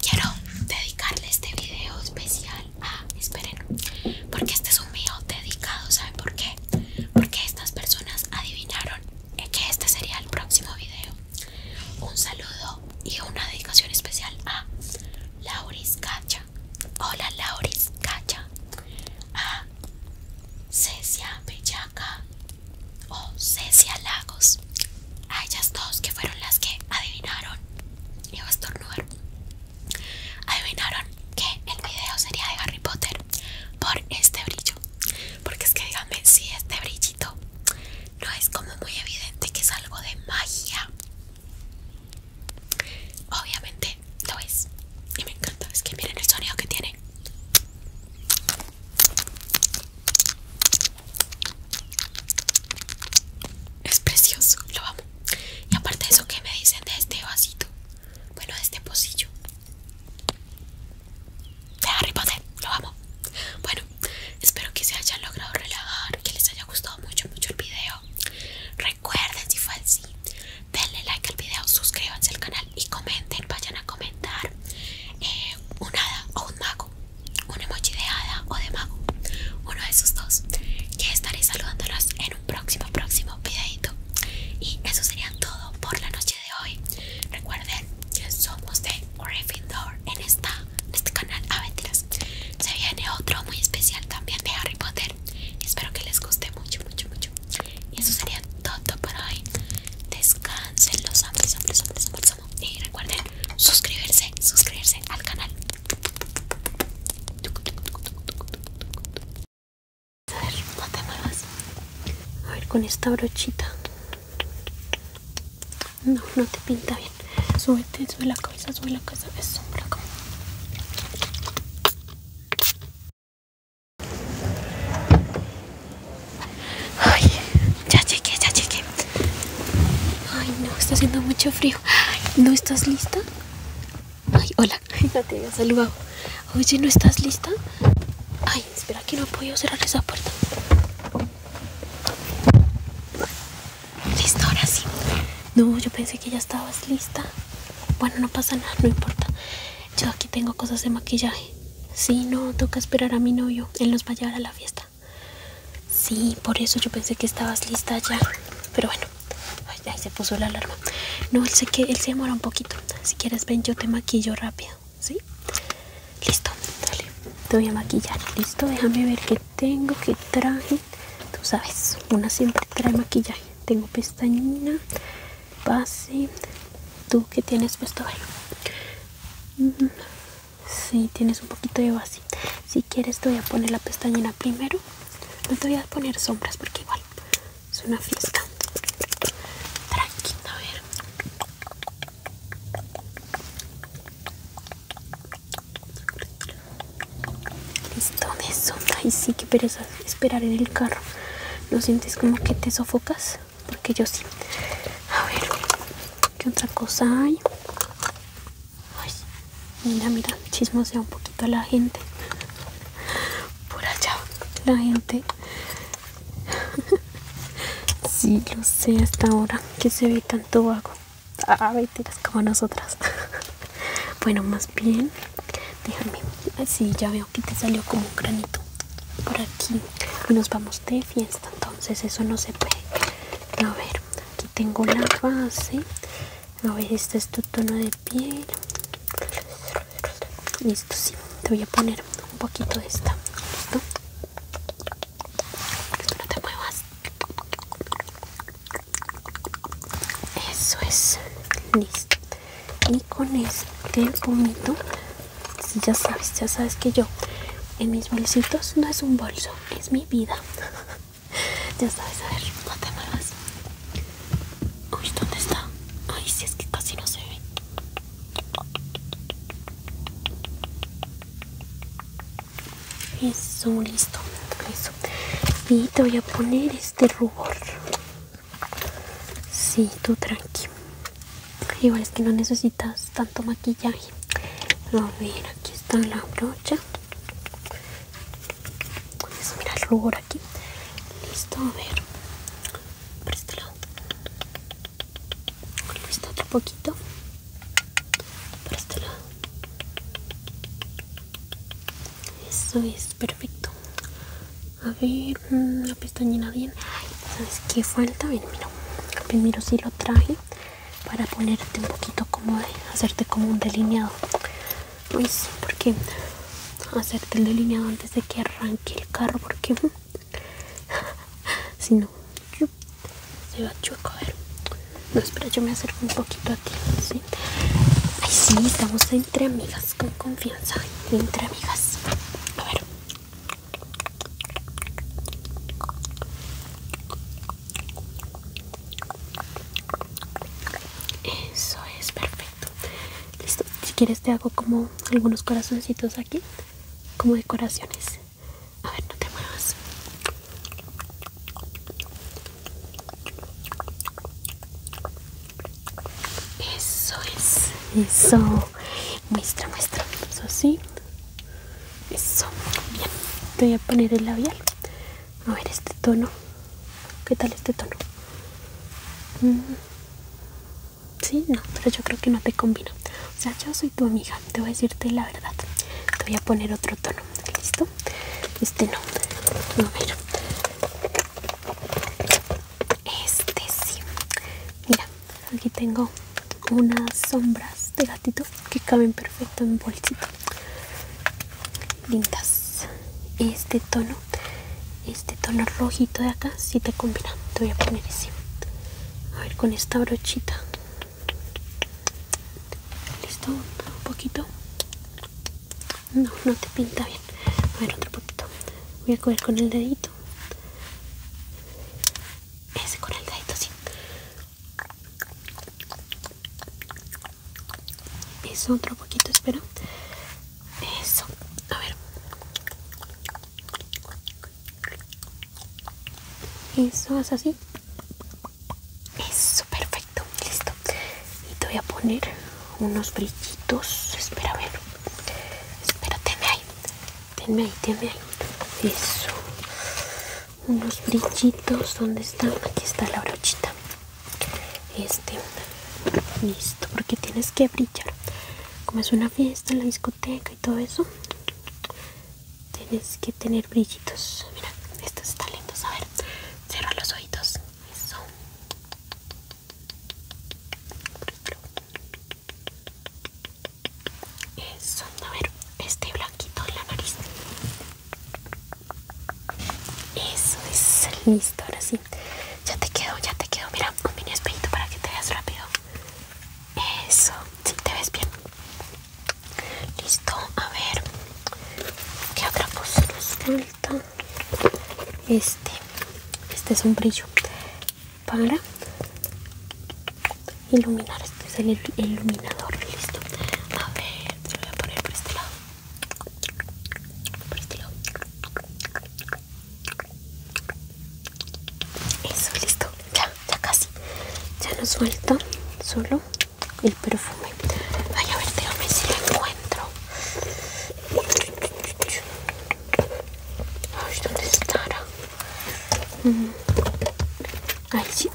quiero dedicarle este video especial a. Esperen, porque este es un mío dedicado. ¿Saben por qué? Porque estas personas adivinaron eh, que este sería el próximo video. Un saludo y una dedicación especial a Lauris Cacha. Hola, Lauris Cacha a Cecia Bellaca o Cecia Lagos. A ellas dos que fueron las que adivinaron, y a estornudar, adivinaron que el video sería de Harry Potter por este brillo. Porque es que díganme si este brillito no es como muy evidente que es algo de magia. Obviamente lo es y me encanta, es que miren el sonido que tiene es precioso, lo amo y aparte de eso que me dicen de este vasito bueno, de este pocillo de Harry Potter, lo amo bueno, espero que se hayan logrado relajar, que les haya gustado mucho, mucho el video recuerden si fue así denle like al video, suscríbanse al canal y comenten, vayan a comentar una eh, un hada o un mago, un emoji de hada o de mago, uno de esos dos, que estaré saludándolos en un próximo, próximo videito. Y eso sería todo por la noche de hoy. Recuerden que somos de Gryffindor en, esta, en este canal Aventuras. Se viene otro muy especial también de Harry Potter. Espero que les guste mucho, mucho, mucho. Y eso sería todo para hoy. Descansen, los amo, los amo, Y recuerden suscribirse, suscribirse al canal. A ver, no te muevas. A ver, con esta brochita. No, no te pinta bien. Súbete, sube la cabeza, sube la cabeza. es sombra ya llegué, ya llegué. Ay, no, está haciendo mucho frío. ¿No estás lista? Ay, hola. <laughs> No te había saludado. Oye, ¿no estás lista? Ay, espera que no puedo podido cerrar esa puerta. Listo, ahora sí. No, yo pensé que ya estabas lista. Bueno, no pasa nada, no importa. Yo aquí tengo cosas de maquillaje. Sí, no, toca esperar a mi novio. Él nos va a llevar a la fiesta. Sí, por eso yo pensé que estabas lista ya. Pero bueno, se puso la alarma. No, sé que él se demora un poquito. Si quieres, ven, yo te maquillo rápido. ¿Sí? Listo, dale. Te voy a maquillar. Listo, déjame ver qué tengo, qué traje. Tú sabes, una siempre trae maquillaje. Tengo pestañina, base, tú que tienes puesto ahí si sí, tienes un poquito de base, si quieres te voy a poner la pestañina primero no te voy a poner sombras porque igual es una fiesta tranquila a ver listo de sombra y sí que pereza esperar en el carro no sientes como que te sofocas porque yo sí. A ver, ¿qué otra cosa hay? mira, mira, chismosea un poquito la gente. Por allá, la gente. <laughs> sí, lo sé hasta ahora que se ve tanto vago. a tiras como nosotras. <laughs> bueno, más bien déjame así ya veo que te salió como un granito por aquí y nos vamos de fiesta entonces eso no se puede a ver aquí tengo la base a ver este es tu tono de piel listo sí te voy a poner un poquito de esta listo no te muevas eso es listo y con este gomito, si ya sabes ya sabes que yo en mis bolsitos no es un bolso es mi vida <laughs> ya sabes a ver no te muevas uy dónde está ay si es que casi no se ve eso listo y te voy a poner este rubor Sí, tú tranqui. Igual es que no necesitas tanto maquillaje. A ver, aquí está la brocha. Eso, mira el rubor aquí. Listo, a ver. Por este lado. Listo, otro poquito. Por este lado. Eso es perfecto a ver mm, la llena bien sabes qué falta Ven, mira primero si sí lo traje para ponerte un poquito como de hacerte como un delineado Pues, por porque hacerte el delineado antes de que arranque el carro porque mm, <laughs> si no se va a ver no espera yo me acerco un poquito a ti ay sí estamos entre amigas con confianza entre amigas a ver eso es perfecto. Listo. Si quieres te hago como algunos corazoncitos aquí, como decoraciones. A ver, no te muevas. Eso es, eso. Muestra, muestra. Eso sí. Eso. Bien. Te voy a poner el labial. A ver este tono. ¿Qué tal este tono? si, mm. Sí, no, pero yo creo que no te combina. O sea, yo soy tu amiga. Te voy a decirte la verdad. Te voy a poner otro tono. ¿Listo? Este no. A ver. Este sí. Mira, aquí tengo unas sombras de gatito que caben perfecto en bolsito. Lindas. Este tono, este tono rojito de acá, si sí te combina. Te voy a poner ese. A ver, con esta brochita. Listo, un poquito. No, no te pinta bien. A ver, otro poquito. Voy a coger con el dedito ese con el dedito así eso otro poquito espera eso a ver eso haz así eso perfecto listo y te voy a poner unos brillitos espera a ver espérate ahí Tenme ahí, tenme ahí. Eso. Unos brillitos. ¿Dónde está Aquí está la brochita. Este. Listo. Porque tienes que brillar. Como es una fiesta en la discoteca y todo eso. Tienes que tener brillitos. Mira, estos están lindos. A ver, cierra los oídos, Eso. Eso, a ver, este blanquito en la nariz. Eso es listo, ahora sí. Ya te quedo, ya te quedo. Mira, un mini espejito para que te veas rápido. Eso, si te ves bien. Listo, a ver. ¿Qué otra cosa nos falta? Este, este es un brillo para iluminar. Este es el, iluminador, listo. A ver, se lo voy a poner por este lado. Por este lado. Eso, listo. Ya, ya casi. Ya nos suelta solo el perfume. vaya a ver, déjame si lo encuentro. Ay, ¿dónde estará? Mm. Ahí sí.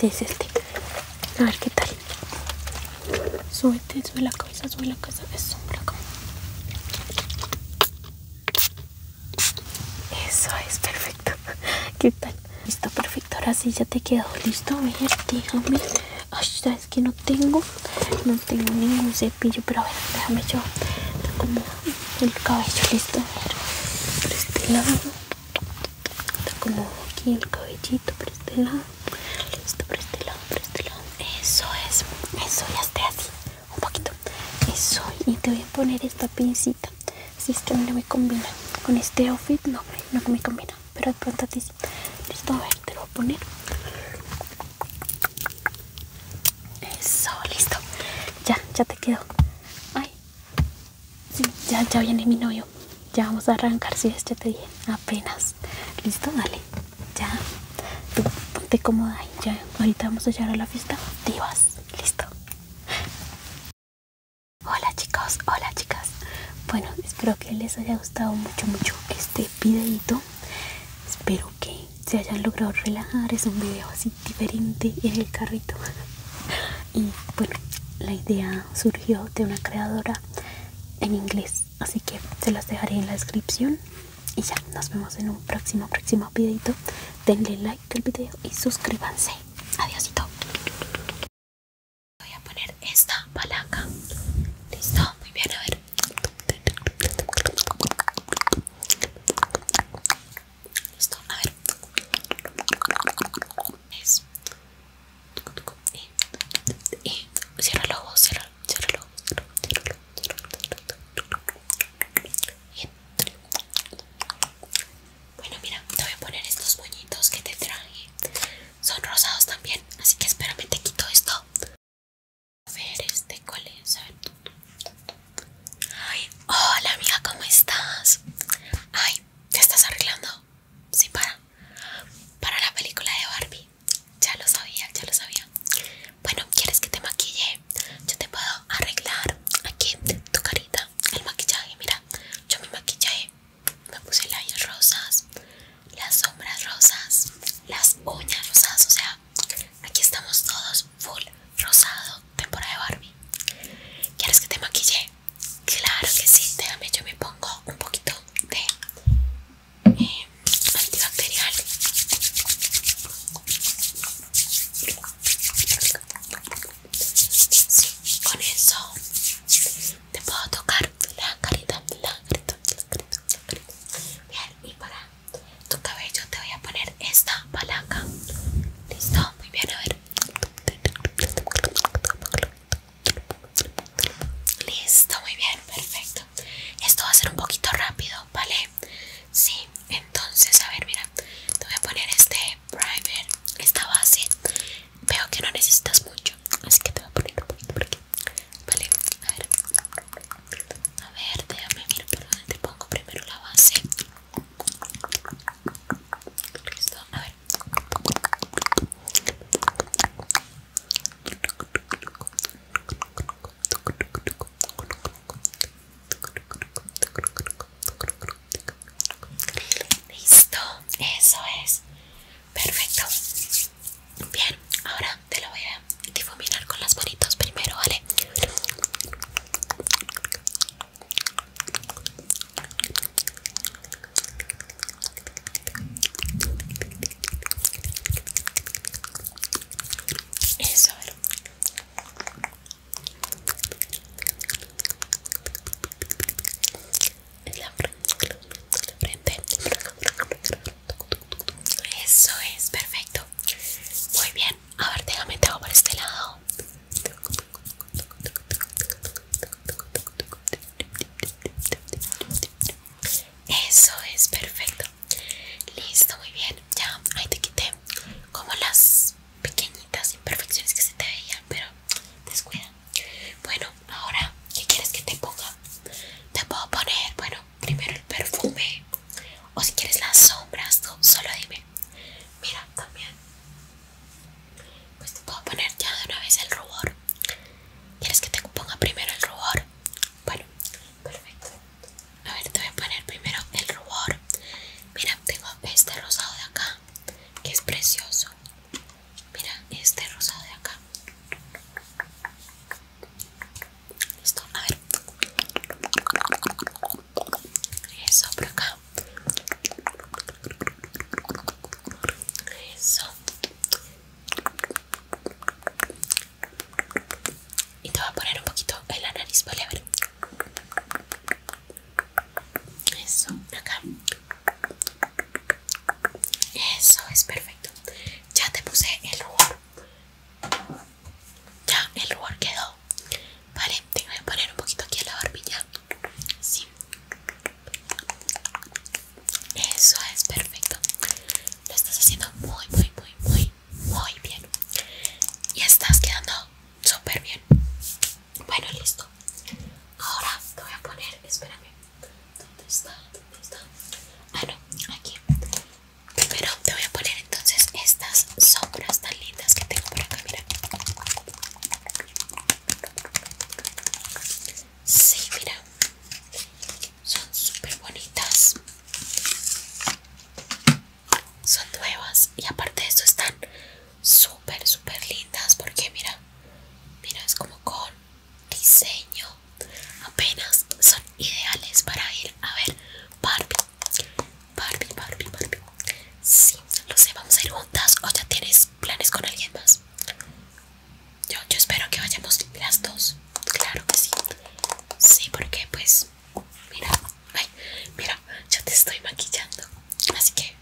Sí, es este. A ver qué tal. Súbete, sube la cabeza, sube la cabeza. Eso, la Eso es perfecto. <laughs> ¿Qué tal? Listo, perfecto. Ahora sí ya te quedó listo. A ver, déjame. Ay, sabes que no tengo. No tengo ningún Pillo, pero a ver déjame yo como el cabello listo a por este lado está como aquí el cabellito por este lado listo por este lado por este lado eso es eso ya esté así un poquito eso y te voy a poner esta pincita si es que no me combina con este outfit no no me combina pero de pronto listo a ver te lo voy a poner eso, listo. Ya, ya te quedo Ay. ya, ya viene mi novio. Ya vamos a arrancar, si este ya te dije. Apenas. Listo, dale. Ya. te ponte cómoda Ya, ahorita vamos a llegar a la fiesta. Divas. Listo. Hola chicos, hola chicas. Bueno, espero que les haya gustado mucho, mucho este videito. Espero que se hayan logrado relajar. Es un video así diferente en el carrito. Y bueno, la idea surgió de una creadora en inglés. Así que se las dejaré en la descripción. Y ya, nos vemos en un próximo, próximo videito. Denle like al video y suscríbanse. Adiósito. Voy a poner esta palanca. Listo, muy bien, a ver. Listo, a ver. cierra los ojos, cierra, los Bueno, mira, te voy a poner estos puñitos que te traje. Son rosados también, así que espérame, te quito esto. Este A ver este cuál Ay, hola amiga, ¿cómo estás? Ay, ¿te estás arreglando? Sí, para Para la película de Barbie Ya lo sabía, ya lo sabía Bueno, ¿quieres que te maquille? Yo te puedo arreglar aquí tu carita El maquillaje, mira Yo me maquillé Me puse labios rosas Las sombras rosas Las uñas rosas, o sea Aquí estamos todos full rosado, temporada de Barbie. ¿Quieres que te maquille? Claro que sí, déjame, yo me pongo un poquito de eh, antibacterial. Sí, con eso te puedo tocar la carita, la carita, la carita, la carita. para tu cabello te voy a poner esta palanca. Listo, muy bien, a ver. Listo, muy bien, perfecto. Esto va a ser un poquito rápido, ¿vale? Sí, entonces, a ver, mira, te voy a poner este primer, esta base. Veo que no necesitas mucho, así que te voy a poner un poquito por aquí. Vale, a ver. A ver, déjame mirar por te pongo primero la base. Listo, a ver. Listo, eso es perfecto. Bien, ahora te lo voy a difuminar con las manitos primero, ¿vale? Eso, Eso es perfecto. Muy bien. A ver, déjame te hago por este lado. Eso es perfecto. Listo, muy bien. Ya, ahí te quité como las pequeñitas imperfecciones que se te veían, pero descuida. Bueno, ahora, ¿qué quieres que te ponga? Te puedo poner, bueno, primero el perfume. O si quieres las sombras, tú solo dime mira también pues te puedo poner ya de una vez el rubor quieres que te ponga primero el rubor bueno perfecto a ver te voy a poner primero el rubor mira tengo este rosado de acá que es precioso mira este rosado de acá Listo, a ver. Eso por acá. Eso. Y te voy a poner un poquito en la nariz, ¿vale? A ver. Eso, por acá. Eso es perfecto. Ya te puse el lugar. Ya, el lugar quedó. Vale, te voy a poner un poquito aquí a la barbilla. Sí. Eso es perfecto. Lo estás haciendo muy, muy, muy, muy, muy bien. Y estás quedando súper bien. Bueno, listo. Ahora te voy a poner, espérame. ¿Dónde está? ¿Dónde está? Ah, no, aquí. Primero te voy a poner entonces estas sombras tan lindas que tengo por acá, mira. Sí, mira. Son súper bonitas. Son nuevas y aparte de eso están súper, súper lindas porque mira, mira, es como con diseño. Apenas son ideales para ir a ver Barbie Barbie, Barbie, Barbie. Sí, lo sé, vamos a ir juntas o ya tienes planes con alguien más. Yo, espero que vayamos las dos. Claro que sí. Sí, porque pues, mira, mira, yo te estoy maquillando. Así que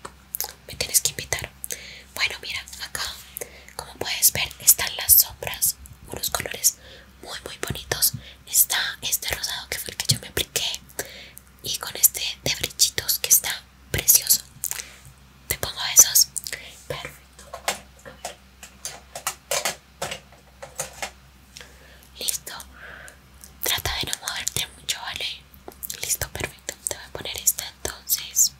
me tienes que invitar. Bueno, mira, acá, como puedes ver, están las sombras, unos colores muy muy bonitos está este rosado que fue el que yo me apliqué y con este de brichitos que está precioso te pongo esos perfecto listo trata de no moverte mucho vale listo perfecto te voy a poner esta entonces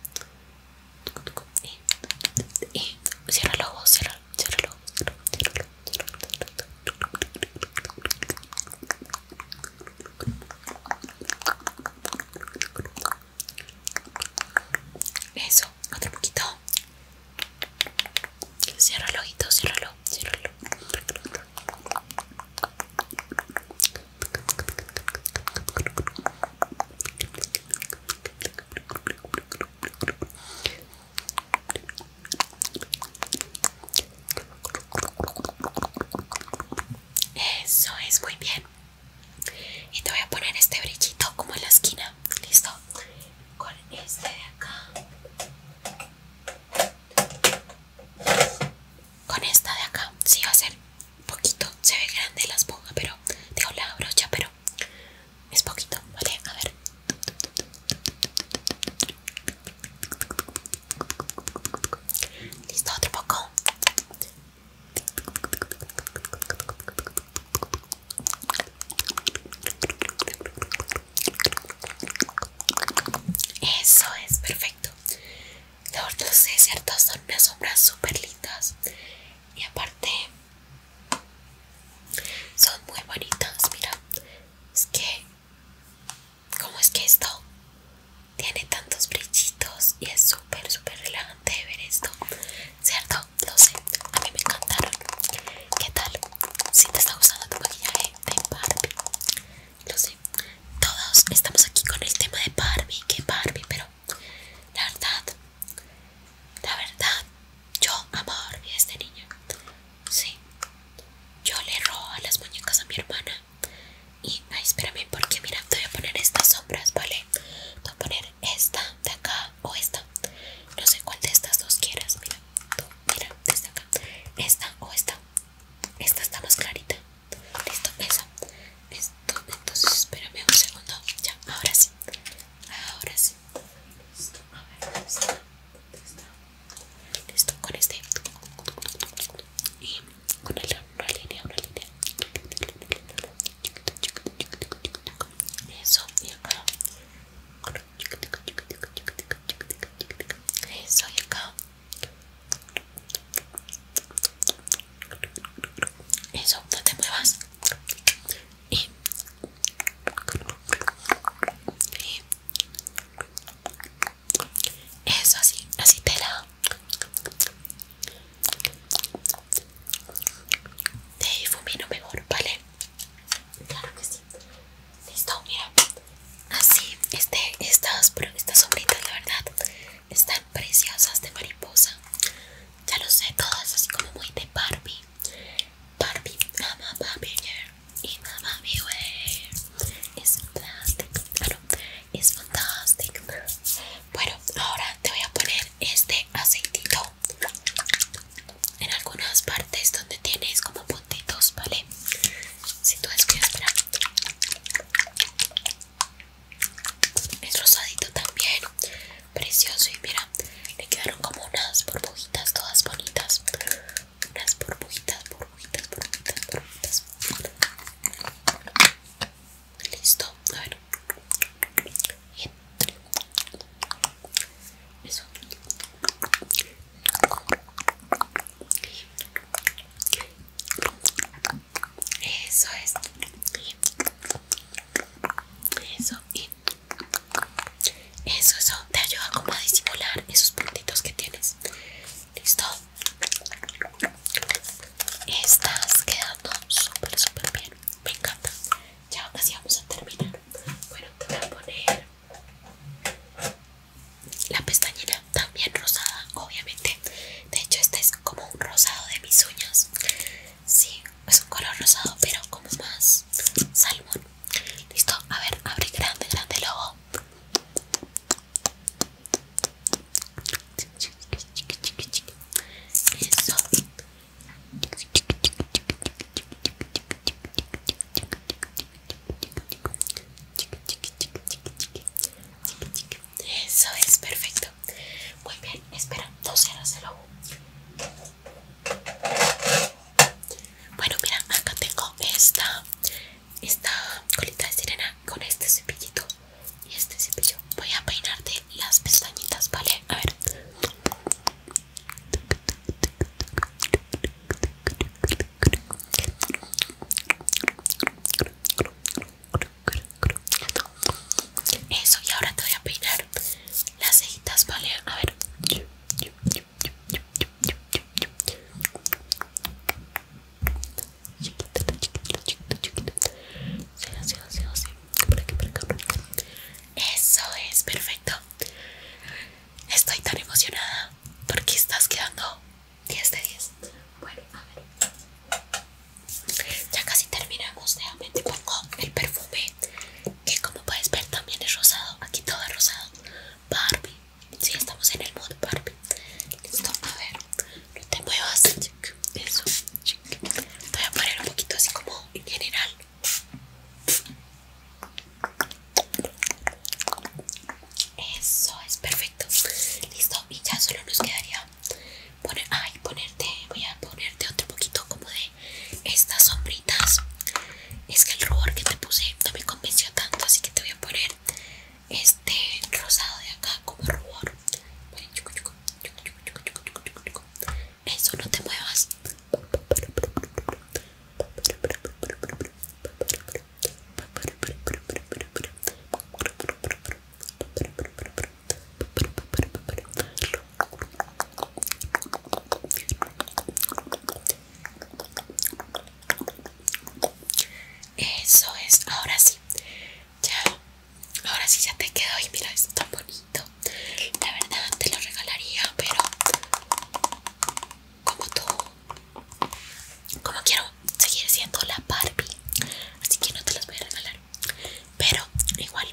y, cierra los ojos cierra, cierra los ojos cierra, ojos. Eso, otro poquito. Cierra el ojito, ciérralo, ciérralo. Eso es muy bien. Y te voy a poner este brillito como en la esquina. Listo. Con este de acá. Con esta de acá. Sí, va a ser poquito. Se ve grande la esponja, pero. tengo la brocha, pero. Es poquito, ¿vale? A ver. Listo, otro poco. Eso es perfecto. Los sé, ¿cierto? Son unas sombras súper lindas. Y aparte, son muy bonitas. Mira, es que ¿Cómo es que esto tiene tantos brillitos y es súper, súper relajante ver esto? ¿Cierto? Lo sé, a mí me encantaron. ¿Qué tal? Si te está gustando tu maquillaje de Barbie, lo sé. Todos estamos aquí con el tema de Barbie, que Barbie, pero la verdad, la verdad, yo amo a Barbie desde niña. Sí. Yo le robo las muñecas a mi hermana. Y ay, espérame, porque mira, te voy a poner estas sombras, ¿vale? voy a poner esta de acá o esta. No sé cuál de estas dos quieras. Mira, tú, mira, desde acá. Esta o esta. Esta está más clarita. Listo, esa. Esto, entonces espérame un segundo. Ya, ahora sí. Ahora sí. Listo, a ver, listo con este y con el una línea línea eso y eso y eso no te muevas y eso así, así te la te difumino mejor, ¿vale? Claro que sí. Listo, mira. Así, este, estas, sombritas, la verdad, están preciosas de mariposa. Ya lo sé, todas así como muy de Barbie. Barbie, ama Barbie y mi beware es plástico es fantástico bueno ahora te voy a poner este aceitito en algunas partes donde tienes como puntitos vale si tú es que es rosadito también precioso y mira le quedaron como unas burbujitas todas bonitas unas burbujitas, burbujitas, burbujitas, burbujitas. Listo, a ver. Eso. Eso es. Eso y eso, eso te ayuda como a disimular esos puntitos que tienes listo estás quedando súper súper bien me encanta ya casi vamos a terminar bueno te voy a poner la pestañina también rosada obviamente de hecho esta es como un rosado de mis uñas sí es un color rosado pero como más salmón listo a ver abre grande grande lobo eso. Eso es perfecto. Muy bien, espera, Bueno, mira, acá tengo esta esta colita de sirena con este cepillito y este cepillo. Voy a peinarte las pestañitas, ¿vale? A ver. Eso, y ahora te voy a peinar las cejitas, ¿vale? A ver. Eso es, perfecto. Estoy tan emocionada porque estás quedando 10 de 10. Bueno, a ver. Ya casi terminamos. nuevamente te pongo el perfume que, como puedes ver, también es rosado. Aquí todo es rosado. Barbie, Sí, estamos en el mood Barbie. Listo, a ver. No te muevas. Eso. voy a poner un poquito así como en general. Eso es perfecto. Listo. Y ya solo nos quedaría poner. Ay, ponerte. Voy a ponerte otro poquito como de estas sombritas. Es que el rubor que te puse no me convenció tanto, así que te voy a poner este rosado de acá como rubor eso no te muevas eso es, ahora sí. Ya, ahora sí ya te quedó. Y mira, es tan bonito. La verdad te lo regalaría, pero como tú, como quiero seguir siendo la Barbie, así que no te las voy a regalar. Pero igual,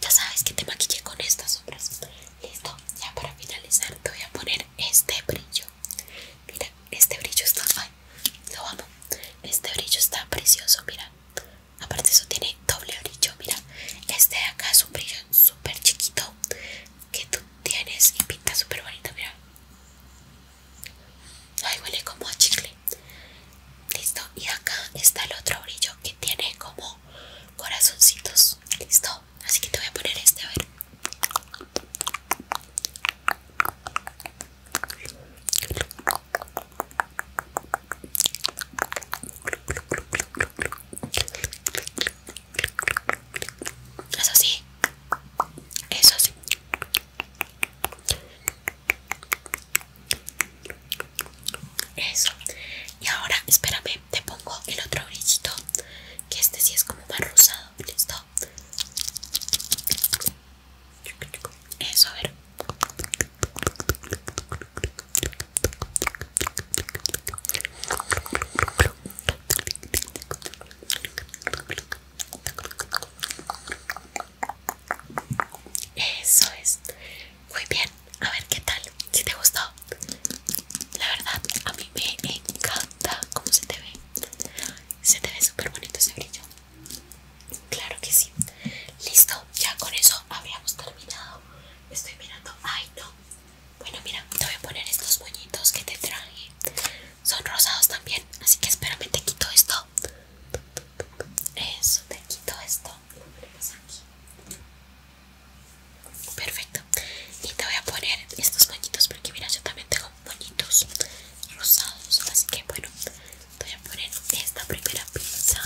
ya sabes que te maquillé con estas sombras. Listo, ya para finalizar te voy a poner este brillo mira este brillo está ay lo amo este brillo está precioso mira aparte eso tiene doble brillo mira este de acá es un brillo súper chiquito que tú tienes y pinta súper bonito mira ay huele como a chicle listo y acá está el otro brillo que tiene como corazoncitos listo así que te voy a poner este a ver eso sí, eso sí. Eso. Y ahora, espérame, te pongo el otro brillito. Que este sí es como más rosado. ¿Listo? Eso, a ver. Eso es. Muy bien. A ver qué tal. Si te gustó. La verdad, a mí me encanta cómo se te ve. Se te ve súper bonito ese brillo. Claro que sí. Listo, ya con eso habíamos terminado. Estoy mirando. Ay, no. Bueno, mira, te voy a poner estos moñitos que te traje. Son rosados también. Así que espérame, te quito esto. Eso, te quito esto. Perfecto. Y te voy a poner estos moñitos porque mira, yo también tengo bonitos rosados así que bueno te voy a poner esta primera pinza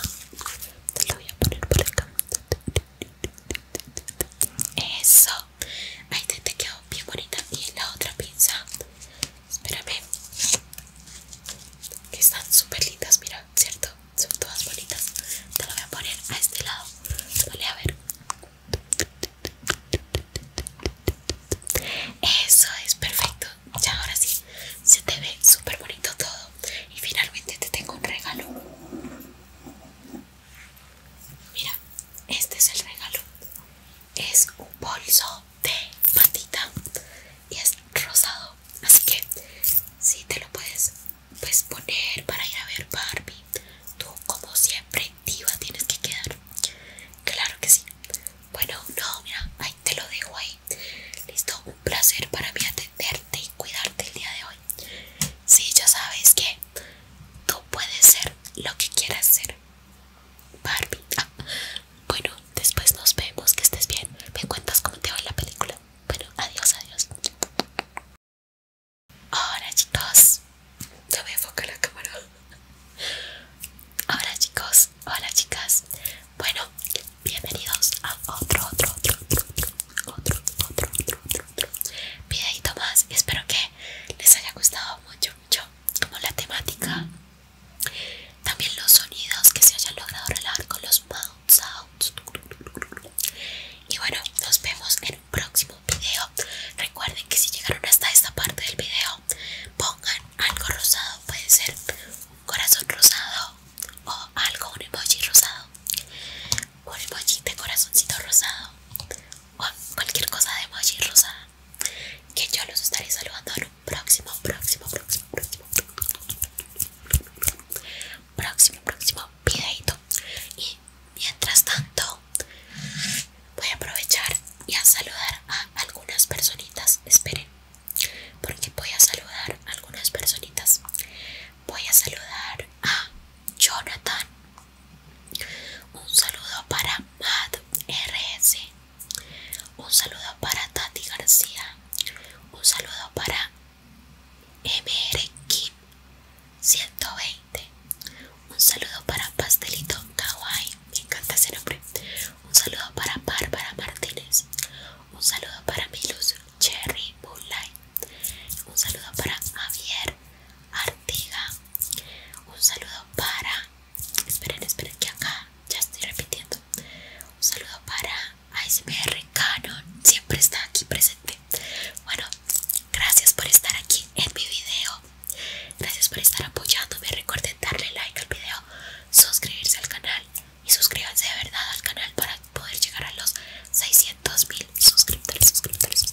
te la voy a poner por acá eso ahí te, quedó bien bonita y la otra pinza espérame que están súper lindas mira cierto son todas bonitas te la voy a poner a este lado vale a ver eso es perfecto. Ya ahora sí, se te ve súper bonito todo. Y finalmente te tengo un regalo. Mira, este es el regalo. Es un bolso de patita y es rosado. Así que si te lo puedes poner para ir a ver Barbie, tú como siempre tienes que quedar. Claro que sí. Bueno, no, mira, ahí te lo dejo ahí. Listo, un placer para mí atenderte y cuidarte el día de hoy. Sí, ya sabes que tú puedes ser lo que quieras ser. Barbie. Ah, bueno, después nos vemos, que estés bien. Me cuentas cómo te va la película. Bueno, adiós, adiós. ¡Hola chicos, no a enfocar la cámara. ¡Hola chicos, hola chicas. Bueno, bienvenidos a otro, otro, otro, otro, otro, otro, otro, otro, otro, otro videito más. Espero que les haya gustado mucho, mucho, como la temática. También los sonidos que se hayan logrado relar con los otro, Y bueno, nos vemos en un próximo Recuerden que si llegaron hasta esta parte del video, pongan algo rosado, puede ser un corazón rosado o algo, un emoji rosado, un emoji de corazoncito rosado o cualquier cosa de emoji rosada que yo los estaré saludando en un próximo, próximo, próximo, próximo, próximo, próximo videito. Y Mientras tanto, voy a aprovechar y a saludar a algunas personitas. Esperen, porque voy a saludar a algunas personitas. Voy a saludar a Jonathan. Un saludo para Matt RS. Un saludo para Tati García. Un saludo para MR 120. Un saludo para Pastelito Kawaii. Me encanta ese nombre. Un saludo para Bárbara Martínez. Un saludo para Milus Cherry Moonlight. Un saludo para Javier Artiga. Un saludo para. Esperen, esperen, que acá ya estoy repitiendo. Un saludo para ASMR Canon. Siempre está aquí presente. Bueno, gracias por estar aquí en mi video. Gracias por estar apoyándome. Recuerden darle like al video, suscribirse al canal y suscríbanse de verdad al canal para poder llegar a los 600 mil suscriptores, suscriptores.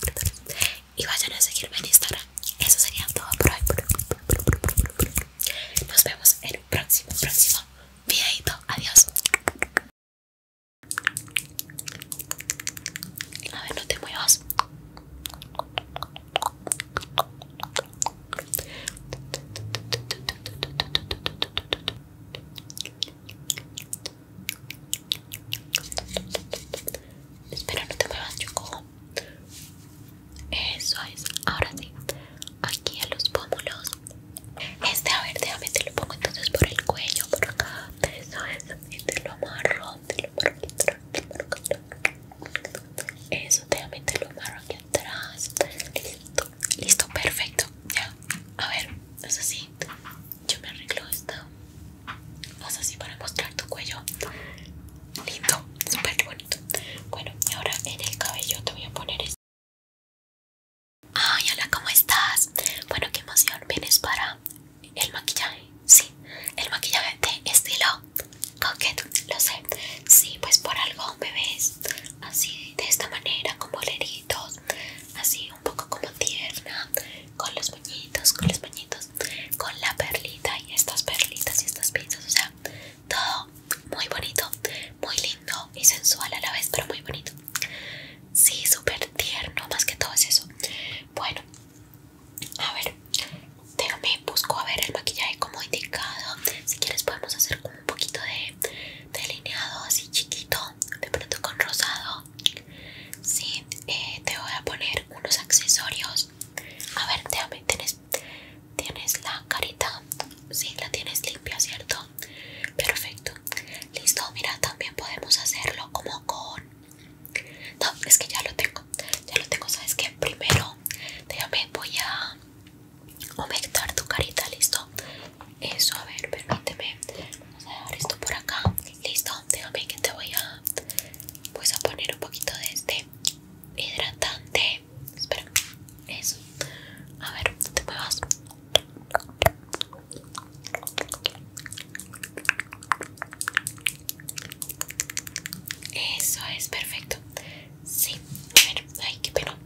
Y vayan a seguirme en Instagram. Eso sería todo por hoy. Nos vemos en el próximo, próximo videito. Adiós. A ver, no te muevas. Espera, no te muevas, Choco. Eso es. Ahora sí, aquí a los pómulos. Este, a ver, déjame te lo pongo entonces por el cuello, por acá. Eso es. Y te lo amarro, te lo amarro aquí eso, déjame te lo amarro aquí atrás. Listo, perfecto. Ya, a ver, es así. Yo me arreglo esto Haz así para mostrar tu cuello. Lindo, súper bonito. Bueno, y ahora en el cabello te voy a poner esto. Ay, hola, ¿cómo estás? Bueno, qué emoción, vienes para el maquillaje, sí, el maquillaje de estilo coquette. lo sé, sí, pues por algo bebés así de esta manera, con boleritos, así un poco como tierna, con los moñitos, con los moñitos, con la perlita y estas perlitas y estas piezas o sea, todo muy bonito, muy lindo y sensual a la vez, pero muy bonito. Sí, súper tierno, más que todo es eso. Bueno, a ver, déjame, busco a ver el maquillaje como indicado. Si quieres podemos hacer como un poquito de delineado así chiquito, de pronto con rosado. Sí, eh, te voy a poner unos accesorios. A ver, déjame, tienes, tienes la carita. Sí, la tienes limpia, ¿cierto? Perfecto. Listo, mira, también podemos hacerlo como con no, es que ya lo tengo. Ya lo tengo, ¿sabes qué? Primero, déjame, voy a humectar tu carita, ¿listo? Eso, a ver, permíteme. Vamos a dejar esto por acá. Listo, déjame que te voy a... Pues a poner un poquito de este hidratante. Espera, eso. A ver, no te muevas. Eso es perfecto. Sí, a ver, ay, qué pena.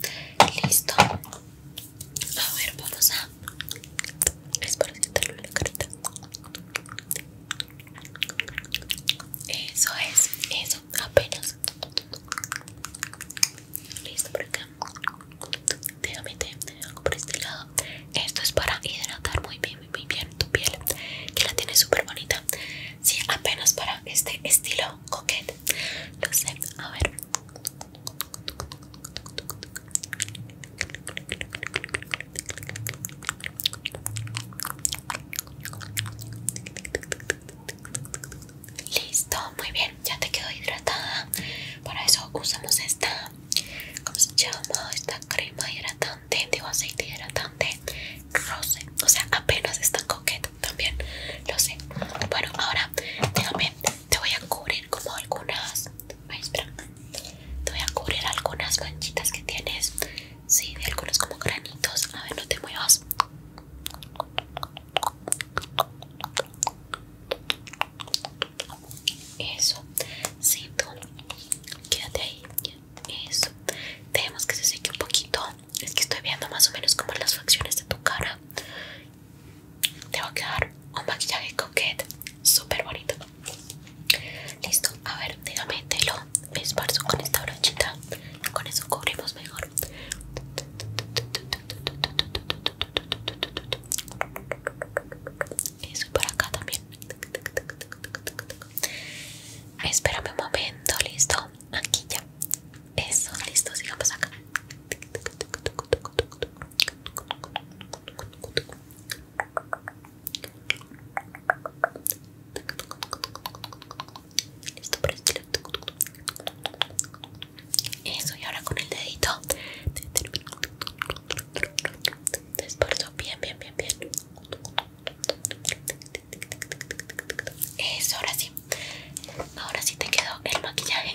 Listo. A ver, vamos a. Es para quitarle la carita. Eso es, eso, apenas. Listo por acá. Déjame te algo por este lado. Esto es para hidratar muy bien muy bien tu piel que la tiene súper bonita sí apenas para este estilo coquete lo sé a ver Listo, muy bien, ya te quedó hidratada. Para eso usamos esta, como se llama? Esta crema hidratante hidratante, digo aceite hidratante rose, o sea apenas está tan coqueto también, lo sé bueno ahora déjame, te voy a cubrir como algunas espera. te voy a cubrir algunas manchitas que tienes sí, de algunos como granitos a ver no te muevas eso, sí tú quédate ahí, eso. tenemos que se seque un poquito. Es que estoy viendo más o menos como las facciones de tu cara. Te va a quedar un maquillaje coquete. Súper bonito. Listo. A ver, déjame te lo esparzo con esta brochita. Con eso cubrimos mejor. Eso por acá también. Espérame un momento, listo. Aquí ya. Eso, listo, sigamos acá. Listo, para este Eso, y ahora con el dedito. Te bien, bien, bien, bien. Eso, ahora sí. Ahora sí te quedó el maquillaje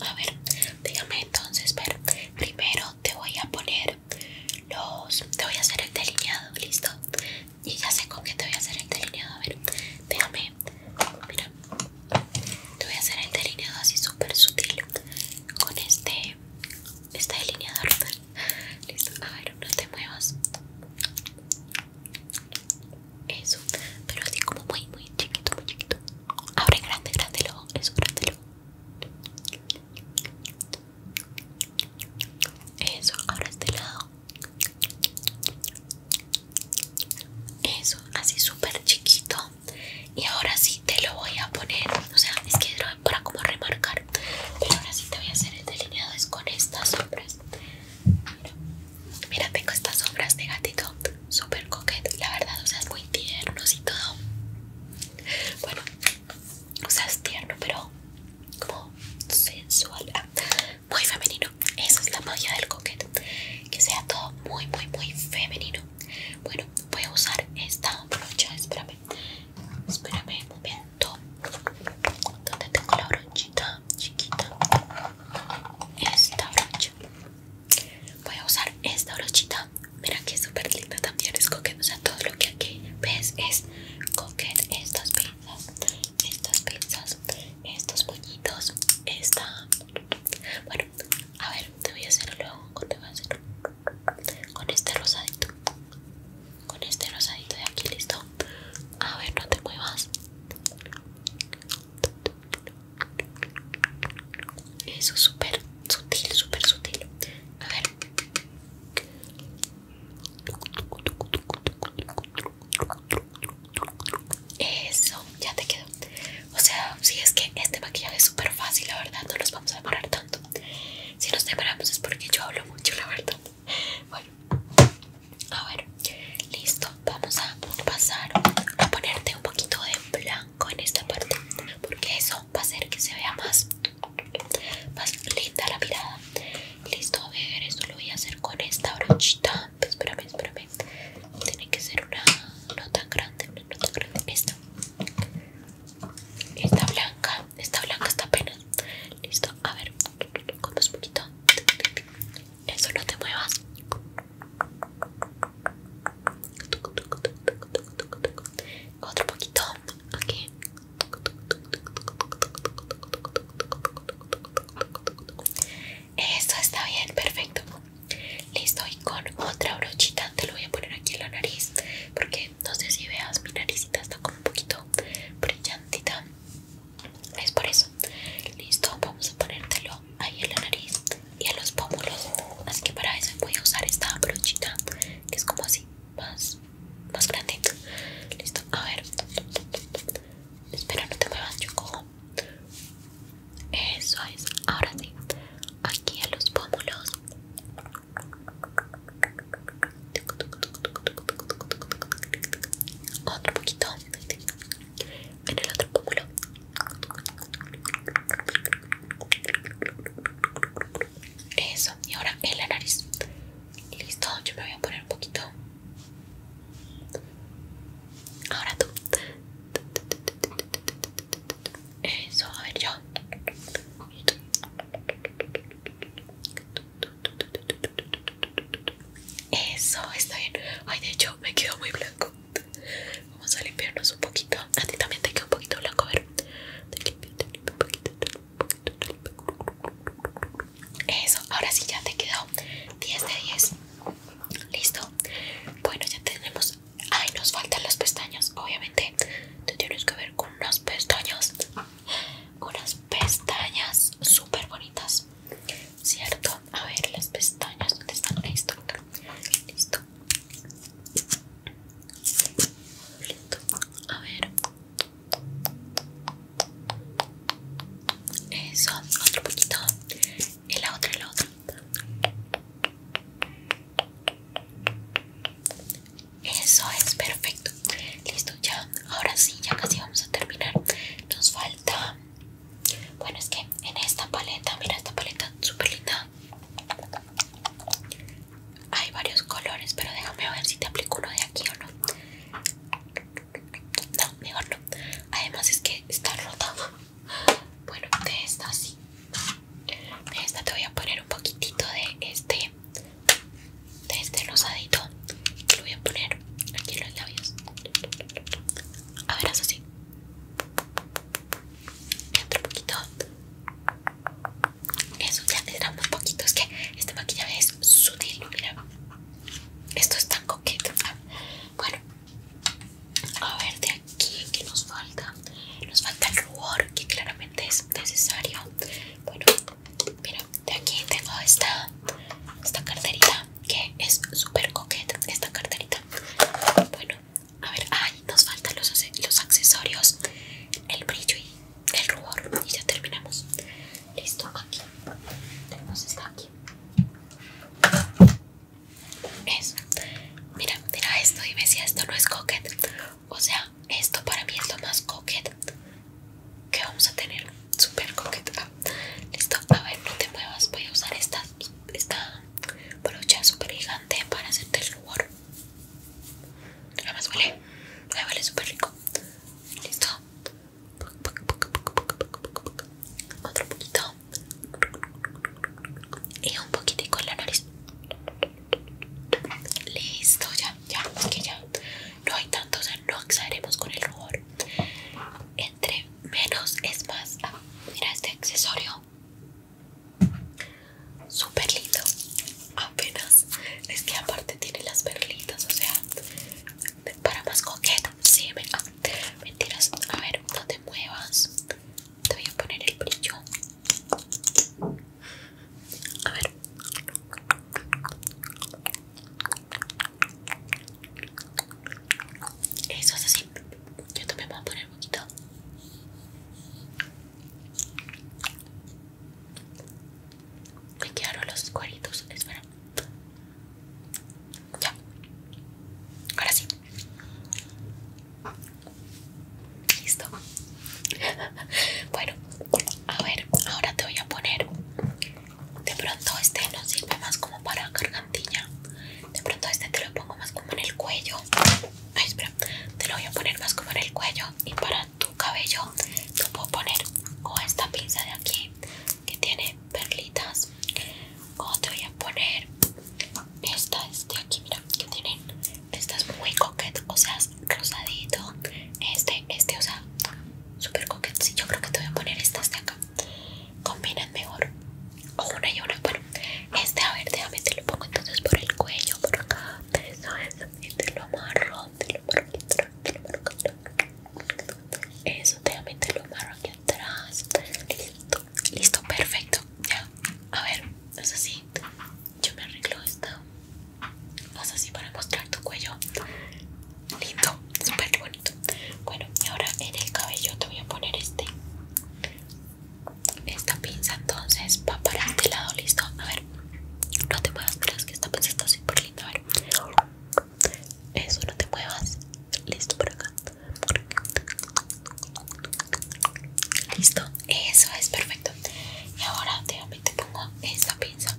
A ver, déjame entonces ver. Primero te voy a poner los. Te voy a hacer el delineado, listo. Y ya sé con qué te voy a hacer el delineado. A ver, déjame. Mira, te voy a hacer el delineado así súper sutil con este este delineador <laughs> Listo, a ver, no te muevas. Eso, pero así como muy, muy chiquito, muy chiquito. Abre grande, grande lo, eso, grande lo. Eso, ahora este lado. Eso, así súper chiquito. Y ahora sí te lo voy a poner. O sea, es que para como remarcar pero ahora sí te voy a hacer el delineado es con estas sombras mira, tengo estas sombras de gatito super coquet la verdad o sea es muy tierno, y todo bueno o sea es tierno pero como sensual ah, muy femenino esa es la magia del coquet que sea todo muy muy muy femenino bueno voy a usar esta brocha espérame espérame muy bien donde tengo la brochita chiquita esta brocha voy a usar esta brochita mira que super súper linda también es coquet o todo lo que aquí ves es coquet estas pinzas estas pinzas estos puñitos esta bueno a ver te voy a hacer luego con este rosadito con este rosadito de aquí, listo. A ver, no te muevas. Eso súper sutil, súper sutil. A ver. Eso, ya te quedó. O sea, si es que este maquillaje es súper fácil, la verdad, no nos vamos a demorar tanto. Si nos demoramos es porque yo hablo mucho, la verdad. <laughs> Bueno, a ver, listo. Vamos a pasar a ponerte un poquito de blanco en esta parte, porque eso va a hacer que se vea más, más linda la mirada. Listo, a ver, esto lo voy a hacer con esta brochita. Espérame, espérame. Tiene que ser una no tan grande, no tan grande. Esta, esta blanca está blanca hasta apenas. Listo, a ver, con más poquito. Eso no te muevas. Otro poquito, Aquí Eso está bien, perfecto. Listo, y con otra brochita te lo voy a poner aquí en la nariz. Porque no sé si veas, mi naricita está como un poquito brillantita es por eso listo vamos a ponértelo ahí en la nariz y a los pómulos así que para eso voy a usar esta brochita que es como así más más grande listo a ver espera no te muevas yo cojo eso es ahora sí aquí a los pómulos otro poquito en el otro pómulo. Eso, y ahora en la nariz. Listo, yo me voy a poner un poquito. Ahora tú. Eso, a ver yo. Eso, está bien. Ay, de hecho, me quedó muy blanco. Vamos a limpiarnos un poquito. A ti también te quedó un poquito blanco, a Eso, ahora sí ya te quedó 10 de 10. Listo. Bueno, ya tenemos. Ay, nos faltan los pestaños. Obviamente, tú tienes que ver con unos pestaños unas pestañas súper bonitas, ¿cierto? A ver, las pestañas, ¿dónde están? listo listo. Listo, a ver. Eso, otro poquito. Y la otra, la otra. Eso es perfecto. Listo, ya. Ahora sí, ya casi vamos a terminar. Nos falta. Bueno, es que en esta paleta, mira esta paleta súper linda. Hay varios colores, pero déjame ver si te aplico uno de aquí o no. No, mejor no. Además es que está rota. Bueno, de esta sí. De esta te voy a poner un poquitito de este de este rosadito que lo voy a poner aquí en los labios a ver, haz así otro poquito eso ya eran poquito es que este maquillaje es sutil mira esto es tan coqueto bueno a ver de aquí que nos falta nos falta el rubor que claramente es necesario bueno Mira, de aquí tengo esta Esta carterita Que es súper coqueta Esta carterita Bueno, a ver, ay, nos faltan los, accesorios El brillo y el rubor Y ya terminamos Listo, aquí Tenemos esta aquí Mira, mira esto, y ve si esto no es coquet O sea, esto para mí es lo más coquet que vamos a tener super coqueta ah, listo a ver no te muevas voy a usar esta esta brocha super gigante para hacerte el rubor nada más huele huele super rico listo otro poquito y un poquitico en la nariz listo ya ya es que ya no hay tanto, o sea, no exageremos con el rubor. Entre menos es más. Ah, mira este accesorio. super lindo. Apenas. Es que aparte tiene las perlitas, o sea, para más coqueta. Sí, me, ah, mentiras. A ver, no te muevas. Te voy a poner el brillo. A ver. Eso es así. Yo también voy a poner un poquito. Me quedaron los cuadritos. Espera. Ya. Ahora sí. Listo. <laughs> Bueno, a ver, ahora te voy a poner de pronto este no sirve más como para gargantilla. De pronto este te lo pongo más como en el cuello. Ay, espera. Te lo voy a poner más como en el cuello. Y para tu cabello te puedo poner o esta pinza de aquí que tiene perlitas. O te voy a poner esta este de aquí, mira, que tienen. Esta es muy coquet, o sea, es rosadito. Este, este, o sea, super sí Yo creo que te voy a poner estas de acá. Combinan mejor. O una y una. Bueno, este, a ver, déjame te lo pongo entonces por el cuello, por acá. Eso eso, Y te lo amarro. Te lo amarro aquí atrás. Te lo amarro aquí Eso, te lo amarro aquí atrás. Listo. Listo, perfecto. Ya. A ver, es así. Yo me arreglo esta vas así para mostrar tu cuello. Lindo, súper bonito. Bueno, y ahora en el cabello te voy a poner este. Esta pinza entonces va para este lado, listo. A ver, no te muevas, mira, que esta pinza está súper linda. A ver, eso, no te muevas. Listo, por acá. Listo, eso es perfecto. Y ahora, déjame te pongo esta pinza.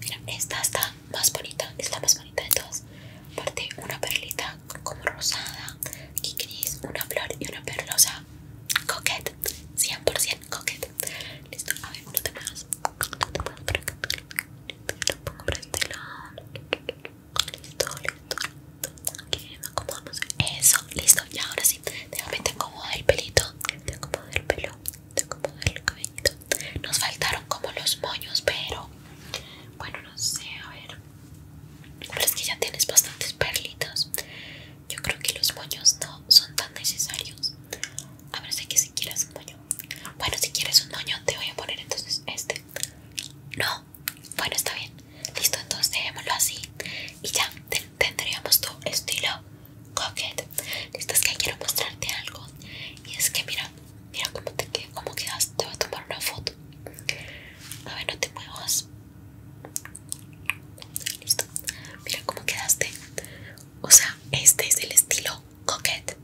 Mira, esta está más bonita, es la más bonita de todas. una perlita como rosada una flor y una perlosa. Coquette, 100% coquette. Listo, a ver, uno de más. Eso, listo. Y ahora sí, el pelito. Te pelo te el cabellito. Nos faltaron como los moños, pero bueno, no sé, a ver. Pero es que ya tienes bastantes perlitas. Yo creo que los moños no son tan necesarios. A ver, sé si quieres un moño. Bueno, si quieres un moño, te voy a poner entonces este. No, bueno, está bien. Listo, entonces dejémoslo así. Y ya tendríamos tu estilo Coquette, listo, es que quiero mostrarte algo. Y es que mira, mira cómo te quedas. Te voy a tomar una foto. A ver, no te muevas. Listo, mira cómo quedaste. O sea, este es el estilo Coquette.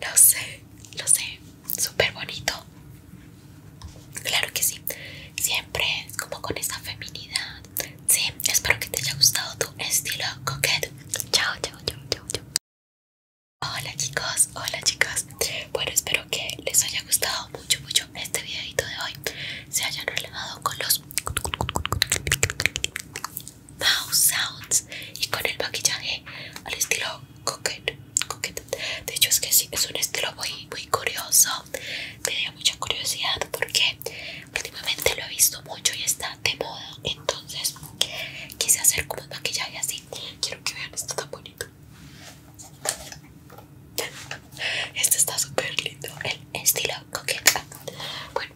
Lo sé, lo sé. Súper bonito. Claro que sí. Siempre como con esa feminidad. Espero que te haya gustado tu estilo coquette. Chao, chao, chao, chao, Hola chicos, hola chicas. Bueno, espero que les haya gustado mucho, mucho este videito de hoy. Se hayan relajado con los mouse sounds y con el maquillaje al estilo coquette. De hecho es que sí, es un estilo muy, muy curioso. Tenía mucha curiosidad porque últimamente lo he visto mucho y está de moda entonces quise hacer como maquillaje así quiero que vean esto tan bonito este está súper lindo el estilo coqueta bueno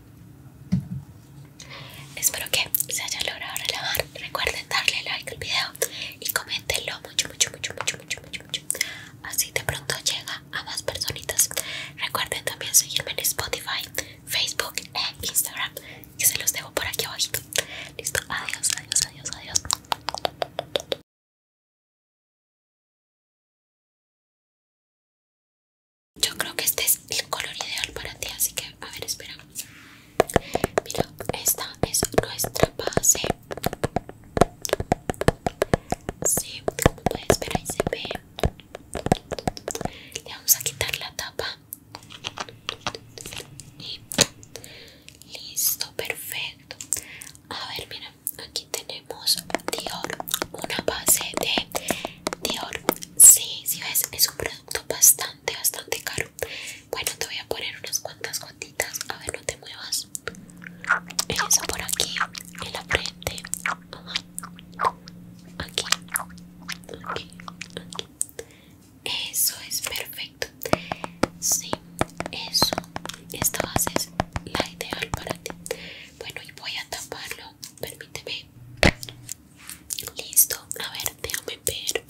espero que se hayan logrado relajar recuerden darle like al video y coméntenlo mucho mucho mucho mucho mucho mucho así de pronto llega a más personitas recuerden también seguirme en Spotify Facebook e Instagram que se los dejo por aquí abajito. Listo, adiós, adiós, adiós, adiós. Yo creo que este es el color ideal para ti, así que a ver, espera. Mira, esta es nuestra base. Sí, como puedes ver ahí se ve le vamos a quitar la tapa. listo, perfecto. A ver, mira, aquí tenemos Dior, una base de Dior. Sí, si sí ves, es un producto bastante, bastante caro. Bueno, te voy a poner unas cuantas gotitas. A ver, no te muevas. Eso por aquí, en la frente. Aquí, Eso es perfecto. Sí, eso. Esta base es la ideal para ti. Bueno, y voy a taparlo. Permíteme. Listo. A ver, déjame ver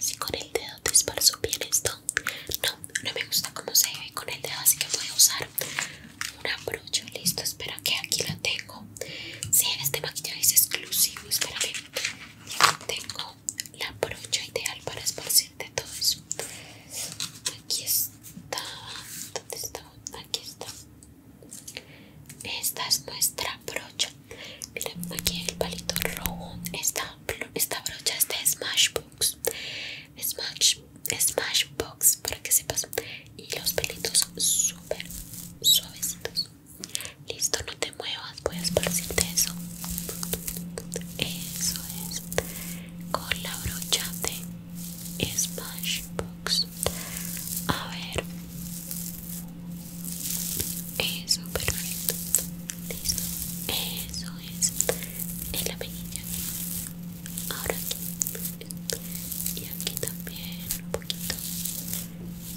si con el dedo te esparzo bien esto. No, no me gusta cómo se ve con el dedo, así que voy a usar un brocha. Listo, espera que aquí la tengo. Si, en este maquillaje es exclusivo. para que tengo la brocha ideal para esparcirte todo eso. Aquí está. ¿Dónde está? Aquí está. Esta es nuestra brocha. aquí el palito rojo. Esta, brocha es de Smashbox. Smashbox, para que sepas. Y los pelitos súper suavecitos. Listo, no te muevas, voy a esparcirte eso. Eso es. Con la brocha de Smashbox. A ver. Eso, perfecto. Listo. Eso es. En la mejilla. Ahora aquí. Y aquí también un poquito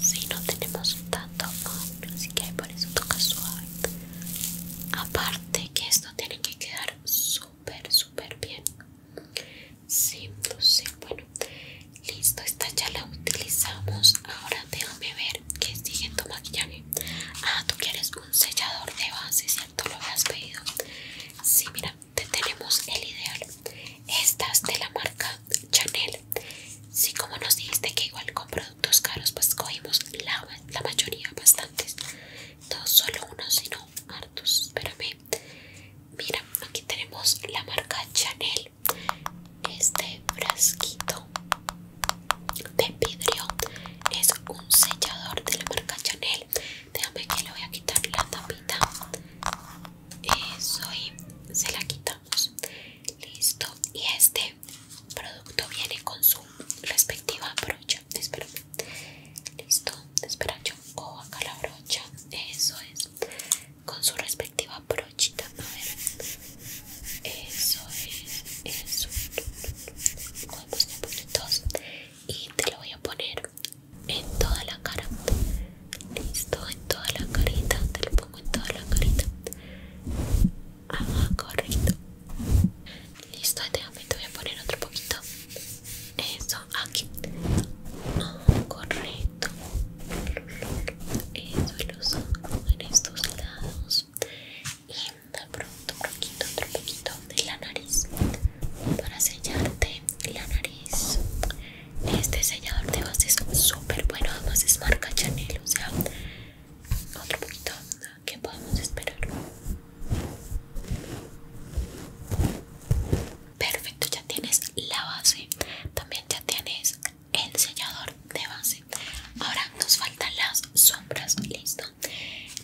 si no tenemos tanto así que por eso toca suave aparte que esto tiene que quedar súper súper bien sí bueno listo esta ya la utilizamos ahora déjame ver qué sigue en tu maquillaje ah tú quieres un sellador de base cierto lo habías pedido sí mira te tenemos el ideal estas de la marca Chanel. si como nos dijiste que igual con productos caros, pues cogimos la, mayoría, bastantes. No solo uno, sino hartos. Espérame. Mira, aquí tenemos la marca Chanel. Este frasquito de vidrio es un sellador de la marca Chanel. Déjame que le voy a quitar la tapita eso eh, y se la quitamos listo y este producto viene con su respectiva brocha espera listo espera yo cojo acá la brocha eso es con su respectiva brochita a ver eso es eso cogemos un y te lo voy a poner en toda la cara listo en toda la carita te lo pongo en toda la carita ah correcto listo déjame te voy a poner otro poquito eso aquí ah correcto eso los en estos lados y de pronto un poquito otro poquito de la nariz para sellarte la nariz este sellador de base es súper bueno, además es marca Chanel, o sea, otro poquito que podemos esperar. Perfecto, ya tienes la base, también ya tienes el sellador de base. Ahora nos faltan las sombras, listo.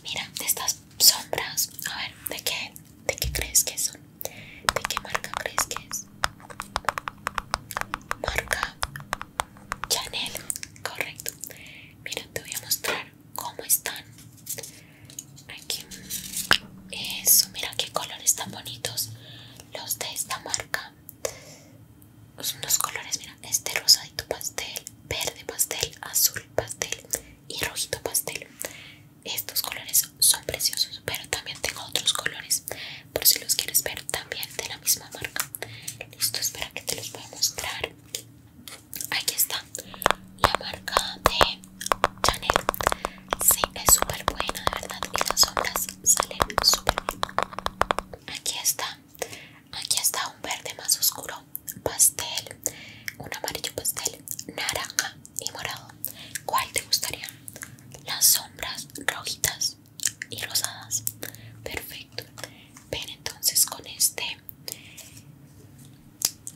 Mira, estas sombras, a ver, ¿de qué, de qué crees que son? ¿De qué marca crees que es? Marca Chanel, correcto. Mira, te voy a mostrar cómo están. Aquí. Eso, mira qué colores tan bonitos los de esta marca. los colores, mira, este rosadito pastel, verde pastel, azul pastel y rojito pastel. Estos colores son preciosos, pero también tengo otros colores por si los quieres ver también de la misma marca listo espera que te los voy a mostrar aquí está la marca de Chanel sí es súper buena de verdad y las sombras salen súper bien aquí está aquí está un verde más oscuro pastel un amarillo pastel naranja y morado. ¿Cuál te gustaría? Las sombras rojitas y rosadas. Perfecto. Ven entonces con este,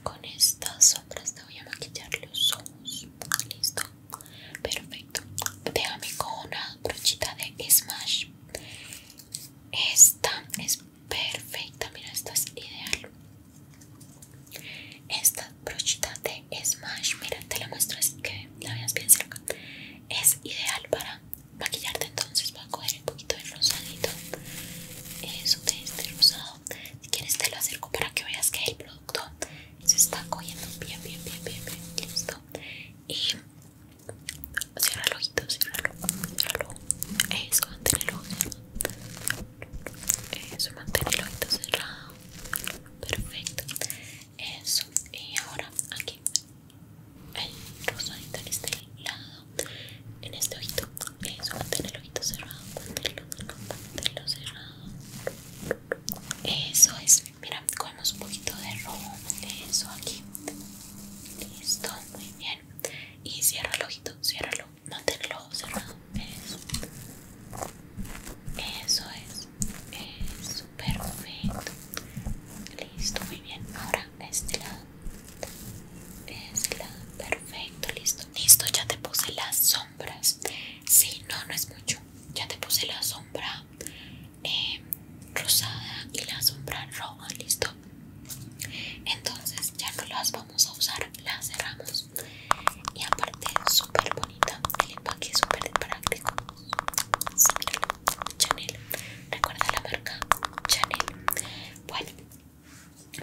con estas sombras te voy a maquillar los ojos. Listo. Perfecto. Déjame con una brochita de Smash. Esta es perfecta, mira, esta es ideal. Esta brochita de Smash, mira, te la muestro así que la veas bien cerca. Es ideal para maquillarte, entonces va a coger un poquito de rosadito. Eso de este rosado. Si quieres te lo acerco para que veas que el producto se está cogiendo bien, bien, bien, bien, Listo. Y cierra el ojito, cierra el ojo, Eso, mantén el ojo. Eso, mantén el ojito cerrado. Perfecto eso y ahora aquí el rosadito en este lado en este ojito eso mantén el ojito cerrado manténlo, manténlo cerrado eso es mira cogemos un poquito de rojo eso aquí listo muy bien y cierra el ojito ciérralo mantén el ojo cerrado eso eso es super es perfecto listo muy bien ahora este lado es lado perfecto listo listo ya te puse las sombras si no no es mucho ya te puse la sombra eh, rosada y la sombra roja listo entonces ya no las vamos a usar las cerramos y aparte súper bonito el empaque es súper práctico. Chanel. Recuerda la marca Chanel. Bueno,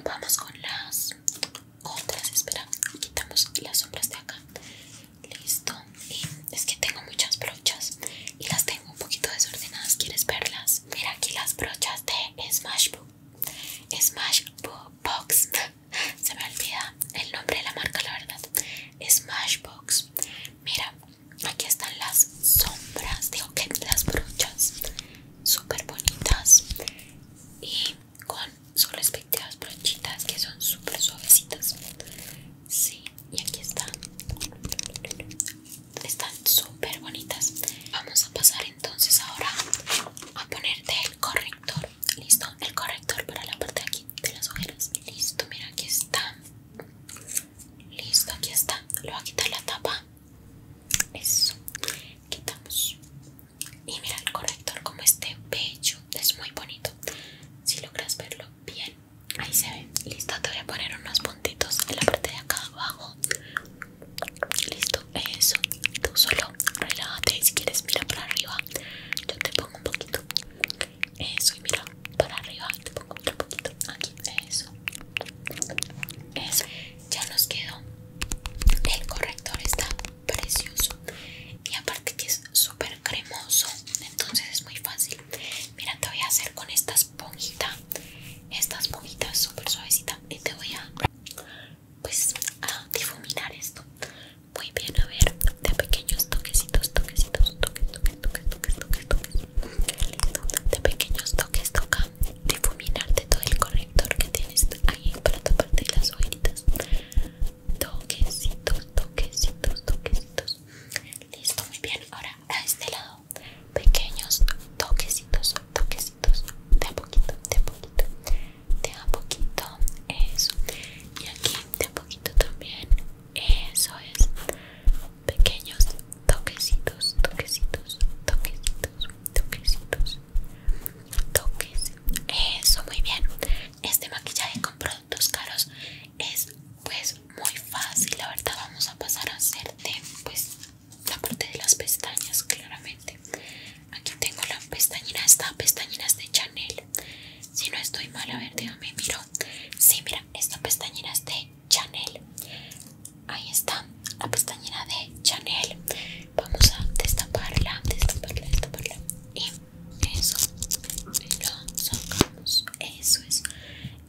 vamos con las otras. Espera, quitamos las sombras de acá. Listo. Y es que tengo muchas brochas y las tengo un poquito desordenadas. ¿Quieres verlas? Mira aquí las brochas de Smashbox Smashbox se me olvida el nombre de la marca la verdad Smashbox mira aquí están las sombras digo que las brochas súper bonitas y con sus respectivas brochitas que son súper suavecitas sí y aquí están están súper bonitas vamos a pasar entonces ahora a ponerte el corrector listo el corrector para la parte de aquí de las ojeras listo mira aquí está listo aquí está le voy a quitar la tapa eso quitamos y mira el corrector como este bello es muy bonito si logras verlo bien ahí se ve listo te voy a poner unos puntitos en la parte de acá abajo listo eso tú solo relájate si quieres mira para arriba yo te pongo un poquito eso, eh, y mira, para arriba te pongo otro poquito. Aquí, eso. Eso. Ya nos quedó. El corrector está precioso. Y aparte que es súper cremoso. Entonces es muy fácil. Mira, te voy a hacer con esta esponjita. Esta esponjita súper suavecita. Y te voy a pues a difuminar esto muy bien, a ver, de pequeños toquecitos, toquecitos, toquecitos, toquecitos. toques, toques, toques, toques. De pequeños toques toca difuminarte todo el corrector que tienes ahí para taparte las ojitas Toquecitos, toquecitos, toquecitos. Listo, muy bien. Ahora a este lado, pequeños toquecitos, toquecitos, de a poquito, de a poquito, de a poquito. Eso. Y aquí de un poquito también. Eso es. Pequeños toquecitos, toquecitos, toquecitos, toquecitos. toquecitos. Eso, muy bien. Este maquillaje con productos caros es pues muy fácil. La verdad vamos a pasar a hacerte pues la parte de las pestañas claramente. Aquí tengo la pestañina, esta pestañina de Chanel. Si no estoy mal, a ver, déjame miro. Sí, mira, esta pestañina es de Chanel. Ahí está, la pestañera de Chanel. Vamos a destaparla, destaparla, destaparla. Y eso, lo sacamos. Eso es.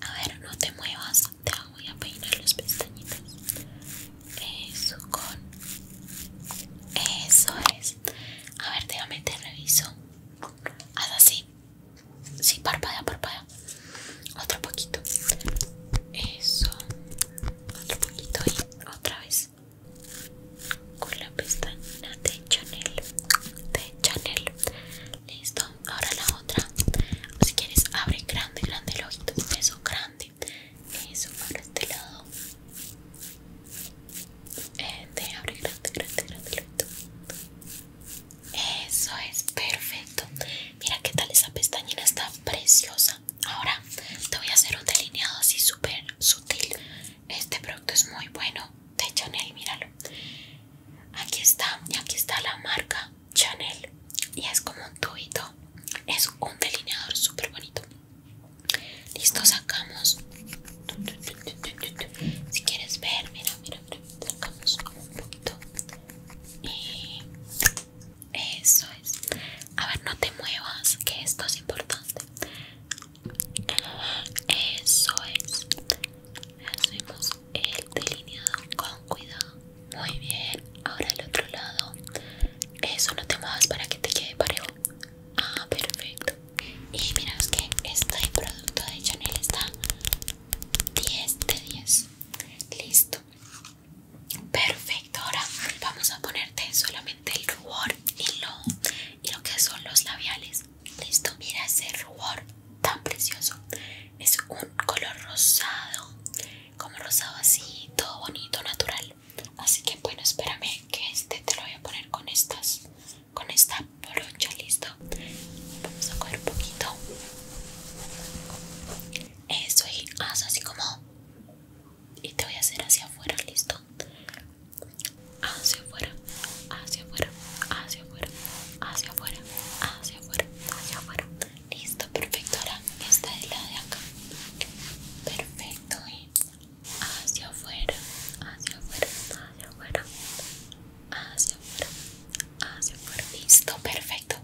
A ver, no te muevas. Te voy a peinar las pestañitas. Eso con. Eso es. A ver, déjame te reviso. Haz así. Sí, parpadea, parpadea. Otro poquito. Eso. Otro poquito y otra vez. Con la pestaña de Chanel. De Chanel. Listo. Ahora la otra. Si quieres, abre grande, grande el ojito. Eso, grande. Eso, para este lado te este, grande, grande, grande Eso es perfecto. Mira qué tal esa pestañina está preciosa. Ahora te voy a hacer un delineado así súper sutil. Este producto es muy bueno de Chanel, míralo. Aquí está, y aquí está la marca Chanel. Y es como un tubito. Es un delineador súper bonito. Listo, sacamos. Si quieres ver, mira, mira, sacamos un poquito. Y eso es. A ver, no te muevas, que esto es importante. Eso es. Hacemos el delineado con cuidado. Muy bien. Ahora el otro lado. Eso no te muevas para que te quede parejo. Ah, perfecto. Y miraos que este producto de Chanel está 10 de 10. Listo. Perfecto. Ahora vamos a ponerte solamente el rubor y y lo que son los labiales. Listo. Mira ese rubor tan precioso. Es un color rosado. Como rosado así, todo bonito, natural. Así que bueno, espérame que este te lo voy a poner con estas con esta brocha, listo. Vamos a coger un poquito. Eso y haz así como. Y te voy a hacer hacia afuera, listo. Hacia afuera, hacia afuera, hacia afuera, hacia afuera, hacia afuera, hacia afuera. Listo, perfecto. Ahora esta es la de acá. Perfecto. ¿eh? hacia afuera, hacia afuera, hacia afuera, hacia afuera, hacia afuera. Listo, perfecto.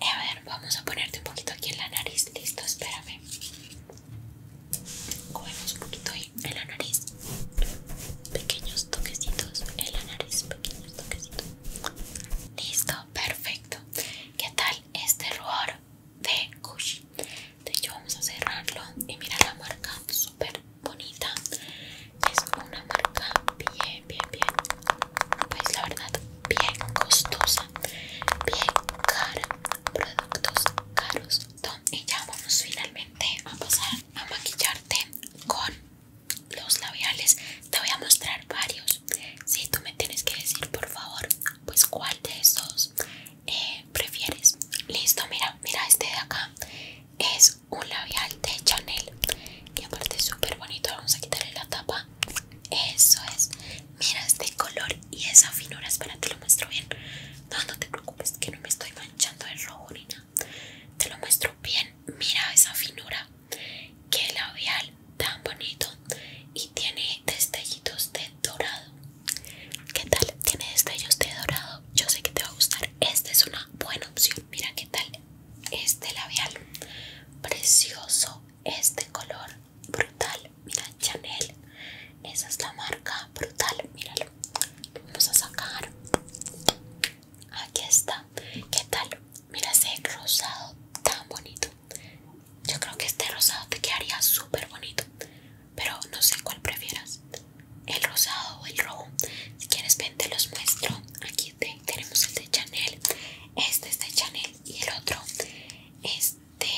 A ver, vamos a ponerte un poquito aquí en la nariz. Listo, espérame. Cogemos un poquito ahí en la nariz. Pequeños toquecitos en la nariz, pequeños toquecitos. Listo, perfecto. ¿Qué tal este rubor de kush de hecho vamos a cerrarlo y mira la marca súper bonita es una marca bien bien bien pues la verdad bien costosa bien cara productos caros y ya vamos finalmente a pasar a maquillarte con los labiales te voy a mostrar varios si tú me tienes que decir por favor pues cuál de esos eh, prefieres listo mira mira este de acá es un labial de Chanel que aparte es súper bonito vamos a quitarle la tapa eso es mira este color y esa finura espera te lo muestro bien no no te preocupes que no me estoy manchando de rojo ni nada te lo muestro bien mira esa finura qué labial tan bonito y tiene destellitos de dorado ¿Qué tal? Tiene destellos de dorado yo sé que te va a gustar. Esta es una buena opción. Mira qué tal este labial. Precioso. Este color. Brutal. Mira, Chanel. Esa es la marca. Brutal. Míralo. vamos a sacar. Aquí está. ¿Qué tal? Mira ese rosado tan bonito. Yo creo que este rosado te quedaría súper bonito pero no sé cuál prefieras, el rosado o el rojo. Si quieres, ven, te los muestro. Aquí tenemos el de Chanel, este es de Chanel y el otro este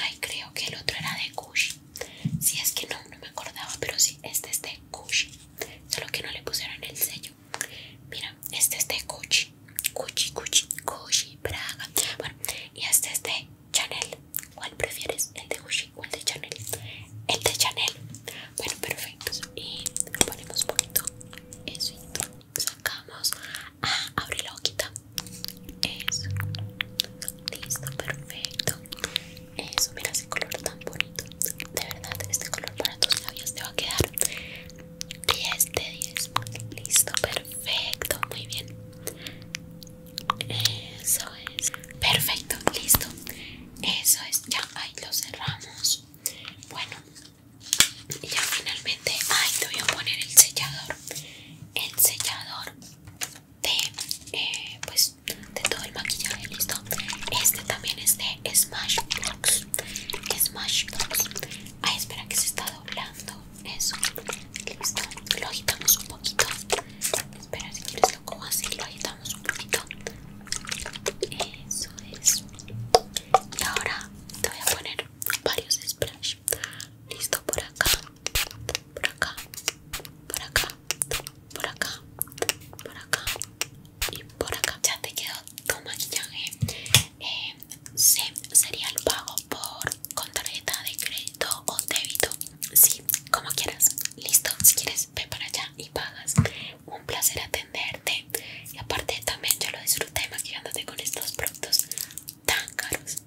Ay, creo que el otro era de Gucci. Si es que no, no me acordaba, pero sí, este es de Gucci. Solo que no le pusieron el sello. Mira, este es de Gucci. Gucci, Gucci, Gucci, Praga. Bueno, y este es de Chanel. ¿Cuál prefieres? ¿El de Gucci o el de Chanel? El de Chanel. Bueno, perfecto. Y ponemos bonito eso. Y sacamos. Ah, abre la boquita. Eso. Listo, perfecto. Eso, mira ese color tan bonito. De verdad, este color para tus labios te va a quedar 10 de 10. Listo, perfecto. Muy bien. Eso es. Perfecto, listo. Eso es, ya ahí lo cerramos. Bueno, ya finalmente ay, te voy a poner el sellador. El sellador de eh, pues de todo el maquillaje, listo. Este también es de Smashbox. Smashbox. Ay, espera que se está doblando. Eso. Listo. Lo agitamos un poquito. Espera, si quieres lo como así, lo agitamos un poquito. Eso es. Y ahora te voy a poner varios splash. Listo, por acá, por acá, por acá, por acá, por acá y por acá. Ya te quedó tu maquillaje. Eh, sería el pago por con tarjeta de crédito o débito. Sí, como quieras. Listo, si quieres, ve para allá y pagas. Un placer atenderte. Y aparte, también yo lo disfruté maquillándote con estos productos tan caros.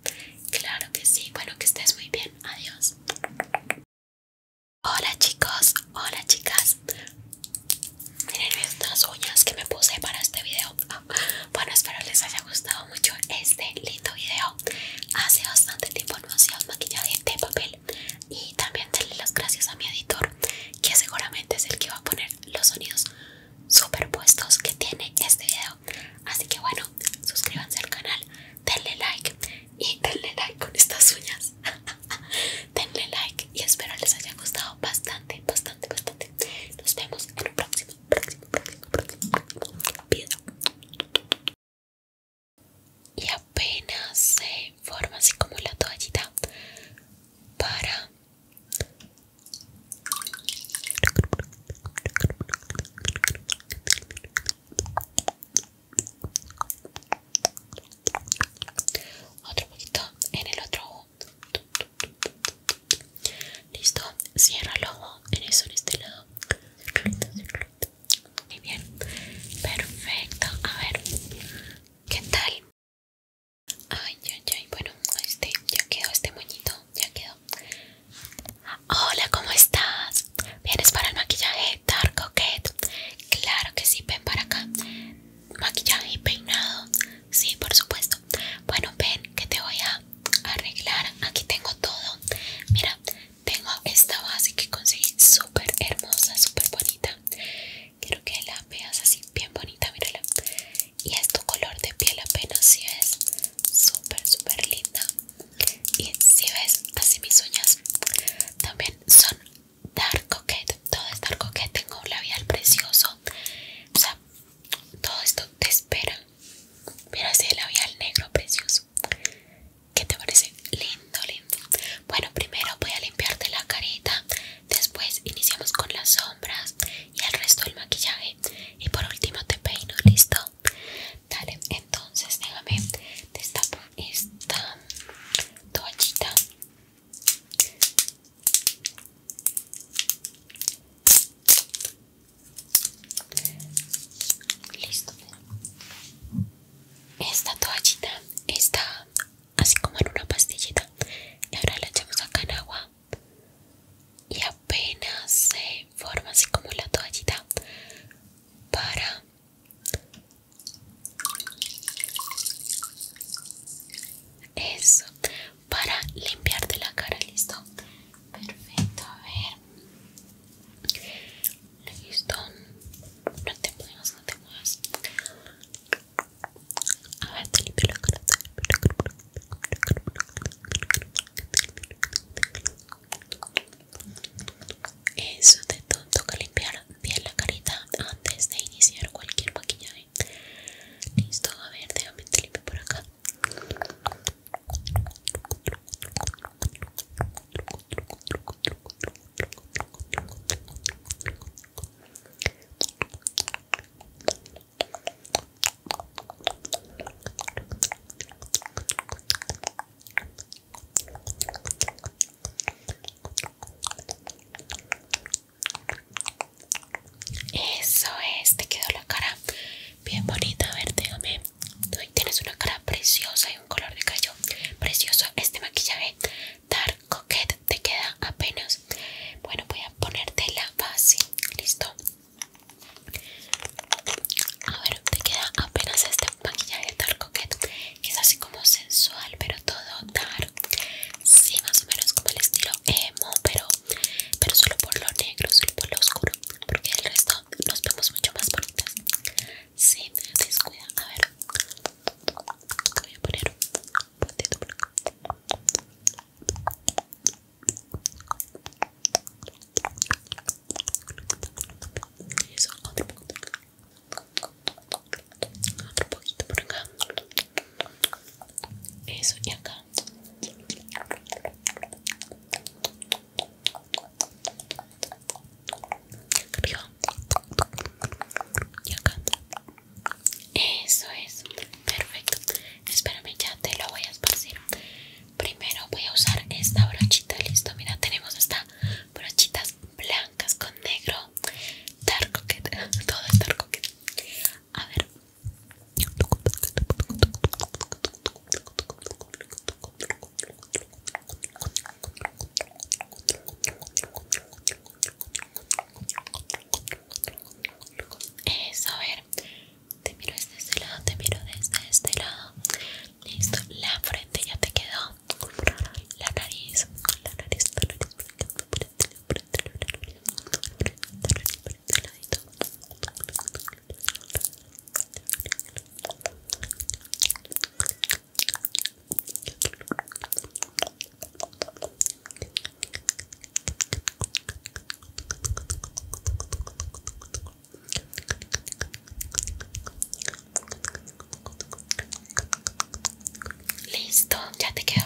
Claro que sí. Bueno, que estés muy bien. Adiós. Hola, chicos. Hola, chicas. Miren estas uñas que me puse para este video. Ah, bueno, espero les haya gustado mucho este lindo video. Hace bastante tiempo no maquillaje de papel y también denle las gracias a mi editor que seguramente es el que va a poner los sonidos superpuestos que tiene este video así que bueno suscríbanse al canal denle like y denle like con estas uñas <laughs> denle like y espero les haya gustado bastante bastante bastante nos vemos en un próximo próximo próximo y apenas se forma así como la toallita para otro poquito en el otro ojo listo cierra el ojo en eso en este lado muy bien, perfecto. A ver, ¿qué tal? Ay, ay, ay. Bueno, este, ya quedó este moñito, ya quedó. Hola, ¿cómo estás? ¿Vienes para el maquillaje Dark Coquette? Claro que sí, ven para acá. Maquillaje y peinado. Sí, por supuesto. Bueno, ven que te voy a arreglar. Aquí tengo todo. Mira, tengo esta base que conseguí súper hermosa, súper bonita. Quiero que la veas así bien bonita, mírala. Y es color de piel apenas, si ves súper, súper linda. Y si ves, así mis uñas también son Dark Coquette. Todo es Dark Coquette. Tengo un labial precioso. O sea, todo esto te espera. Mira ese labial negro precioso. ¿Qué te parece? Lindo, lindo. Bueno, primero voy a limpiarte la carita. Después iniciamos con las sombras y el resto del maquillaje. Y por último te peino, ¿listo? Dale, entonces déjame destapo esta toallita. Listo esta toallita está así como en una pastillita y ahora la echamos acá en agua y apenas se forma así como la toallita para eso para limpiarte la cara listo perfecto a ver Listo. No te muevas, no te muevas. A ver, te limpio la cara. Eso de todo, toca limpiar bien la carita antes de iniciar cualquier maquillaje. Listo, a ver, déjame te limpio por acá. Eso es, te quedó la cara bien bonita. A ver, déjame. Tienes una cara preciosa un color de cayo precioso este maquillaje Dark Coquette te queda apenas bueno voy a ponerte la base listo a ver te queda apenas este maquillaje Dark Coquette que es así como sensual pero todo dark sí más o menos como el estilo emo pero pero solo por lo negro solo por lo oscuro porque el resto nos vemos mucho más bonitas Sí, se descuida. A ver, voy a poner un poquito por acá. Eso, otro poquito. por acá Otro poquito por acá. Eso, y acá eso es perfecto espérame ya te lo voy a esparcir primero voy a usar esta brochita listo mira tenemos hasta brochitas blancas con negro dark coquette <laughs> todo es dark coquet a ver eso, a ver, te miro desde este lado, te miro desde este lado. Listo, la frente ya te quedó. La nariz, la nariz, la nariz, Listo, ya te quedo.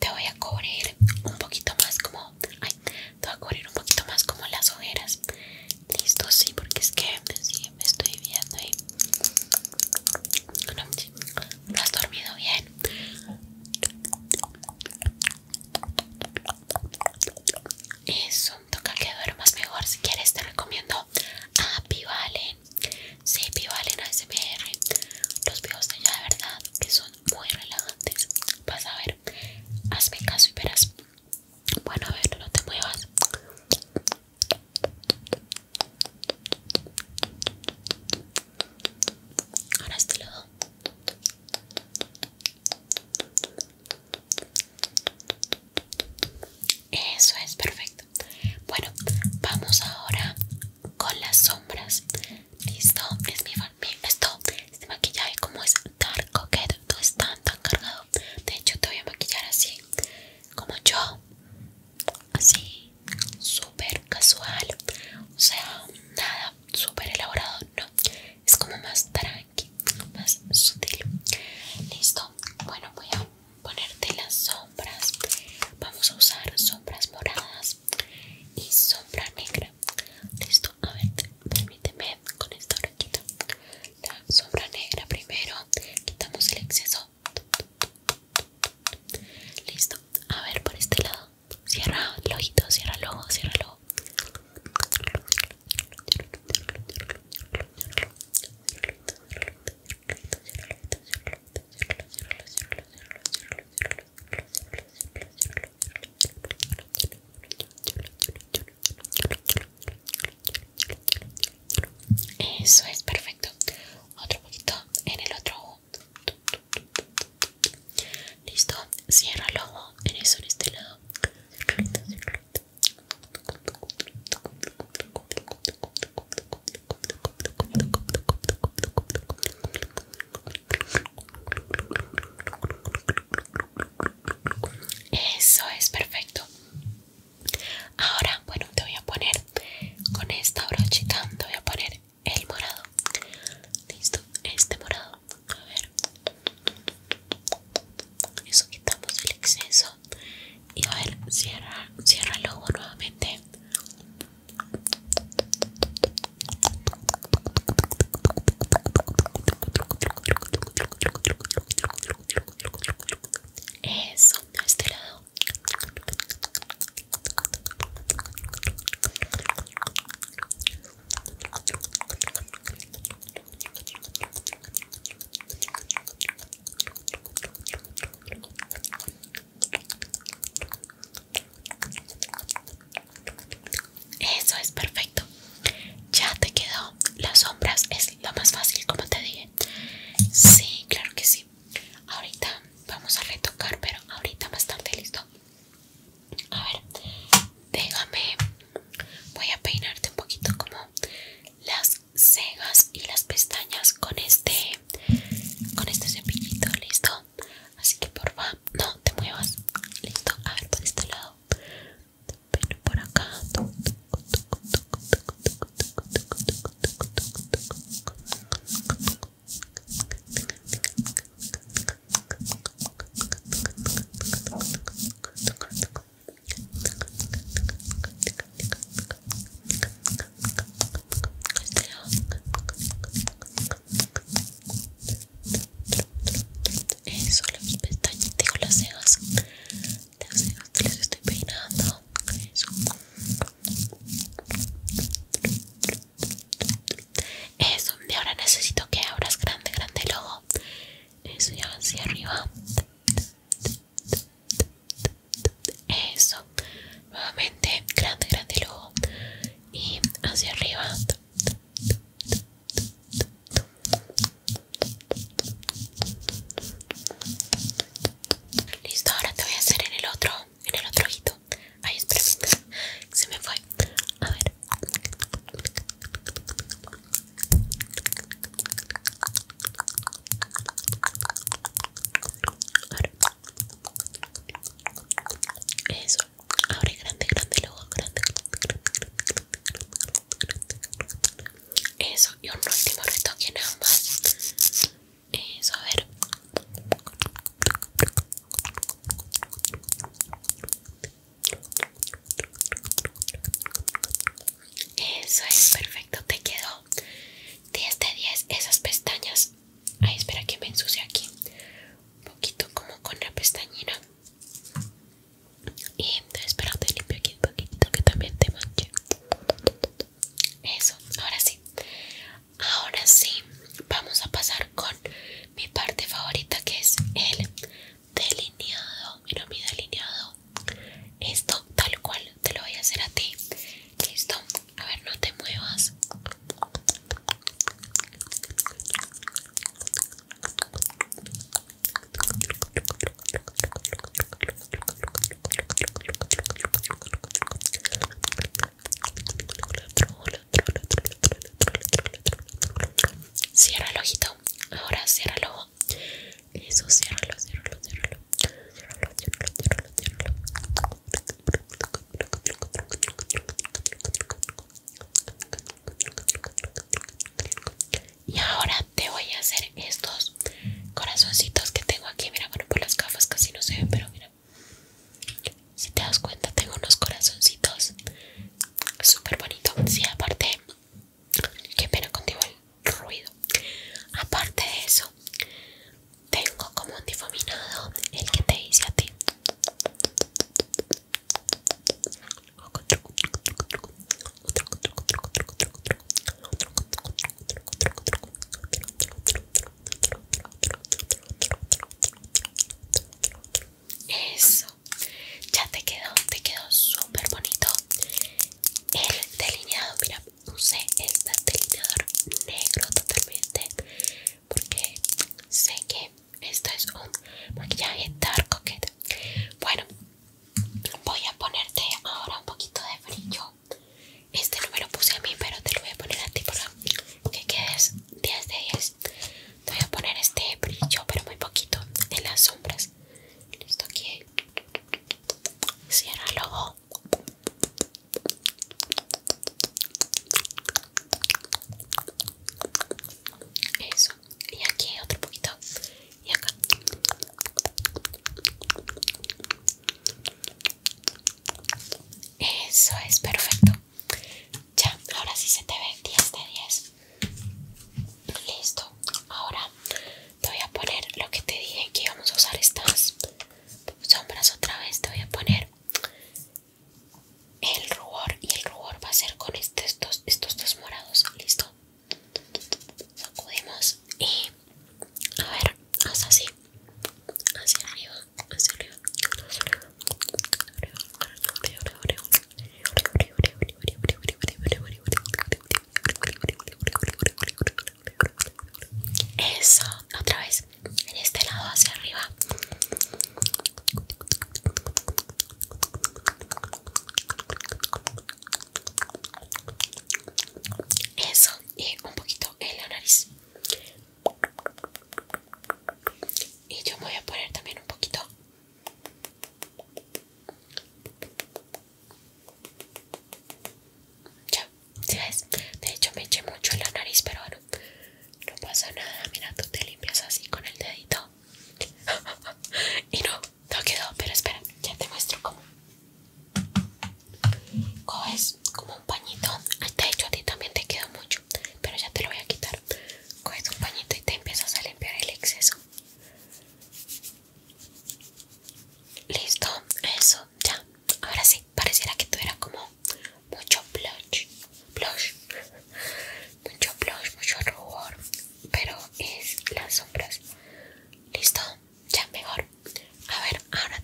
Te voy a cubrir un poquito más como... Ay, te voy a cubrir un poquito más como las ojeras. Listo, sí, porque es que sí, me estoy viendo ahí. ¿No has dormido bien? Eso, toca que duermas mejor. Si quieres, te recomiendo a Pivalen. Sí, Pivalen ASMR. Los videos de ella, de verdad, que son muy relajantes. Vas a ver, hazme caso y verás. Bueno, a ver, no te muevas. Ahora este lado. Eso es perfecto. Bueno, vamos ahora con las sombras. Listo, es mi, este maquillaje como es dark coquette, no es tan cargado. De hecho, te voy a maquillar así como yo, así, súper casual, o sea, nada súper elaborado, no, es como más tranqui, más sutil. Listo, bueno, voy a ponerte las sombras, vamos a usar sombras moradas y sombra negra. Listo, a ver, permíteme con esta orejita. La sombra negra primero, quitamos el exceso Listo, a ver por este lado. Cierra el ojito, cierra el ojo, cierra el ojo. Eso es perfecto. Otro poquito en el otro ojo. Listo. Cierra el ojo. En eso, en este lado. Eso es perfecto. Ahora, bueno, te voy a poner con esta brochita, te voy a poner el morado. Listo, este morado. A ver. Eso quitamos el exceso. Y a ver, cierra, cierra el ojo nuevamente. Eso, a este lado. Eso es perfecto. Ya te quedó. Las sombras es lo más fácil, como te dije. Sí, claro que sí. Ahorita vamos a retocar, pero ahorita más tarde, listo. A ver, déjame. Voy a peinarte un poquito como las cejas y las pestañas con este con este cepillito, listo. Así que porfa, no te muevas. Listo, a ver por este lado. Pero por acá. Eso, las pestañas, digo las cejas les estoy peinando eso eso y ahora necesito que abras grande grande el eso y hacia arriba eso nuevamente grande grande el y hacia arriba Listo, ahora te voy a hacer en el otro, en el otro ojito. Ay, espera, se me fue. A ver. Eso. Ahora grande, grande, luego grande, Eso. Y un último retoque en ambas. Eso, a ver. Eso es perfecto, te quedó 10 de 10 esas pestañas. Ay, espera que me ensucie aquí. Un poquito como con la pestañina. Y espera, te limpio aquí un poquito que también te manche. Eso, ahora sí. Ahora sí, vamos a pasar con mi parte favorita que es el delineado. Mira mi delineado. Esto tal cual te lo voy a hacer a ti. Listo. A ver, no te muevas. Cierra el ojito. Ahora cierra el Eso, Y ahora te voy a hacer estos corazoncitos que tengo aquí Mira, bueno, por las gafas casi no se ven Pero mira Si te das cuenta, tengo unos corazoncitos Súper bonitos Sí, aparte Qué pena contigo el ruido Aparte de eso Tengo como un difuminado El que te dice a ti eso, ya te quedó, te quedó súper bonito el delineado. Mira, usé este delineador negro totalmente porque sé que esto es un maquillaje dark coquete. Bueno, voy a ponerte ahora un poquito de brillo este no me lo puse a mí, pero te lo voy a poner a ti para que quedes 10 de 10. Te voy a poner este brillo, pero muy poquito, en las sombras. Listo, aquí. Cierra el ojo. Eso. Y aquí otro poquito. Y acá. Eso es perfecto. Ya, ahora sí se te ve 10 de 10. Listo. Ahora te voy a poner lo que te dije que íbamos a usar estas sombras otra vez. Te voy a poner el rubor y el rubor va a ser con este, estos dos, estos dos morados. Listo. Sacudimos y a ver hasta así hacia arriba hacia arriba hacia arriba eso otra vez en este lado hacia arriba eso y un poquito en la nariz y yo voy a poner también un poquito. Ya, ¿sí ves? De hecho me eché mucho en la nariz, pero bueno, no pasa nada. Mira, tú te limpias así con el dedito. <laughs> y no, no quedó, pero espera, ya te muestro cómo. Coges como un pañito, de hecho a ti también te quedó mucho, pero ya te lo voy a quitar. Coges un pañito y te empiezas a limpiar el exceso. Listo, eso, ya. Ahora sí, pareciera que tuviera como mucho blush, mucho blush, mucho rubor, pero es las sombras. Listo, ya mejor. A ver, ahora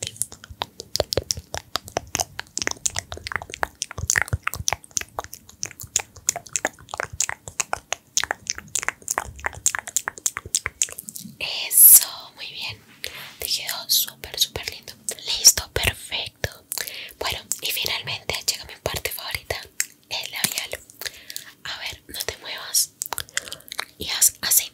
Eso, muy bien. Te quedó súper, súper lindo. Listo, perfecto. Bueno, y finalmente llega mi parte favorita, el labial. A ver, no te muevas. Y haz así.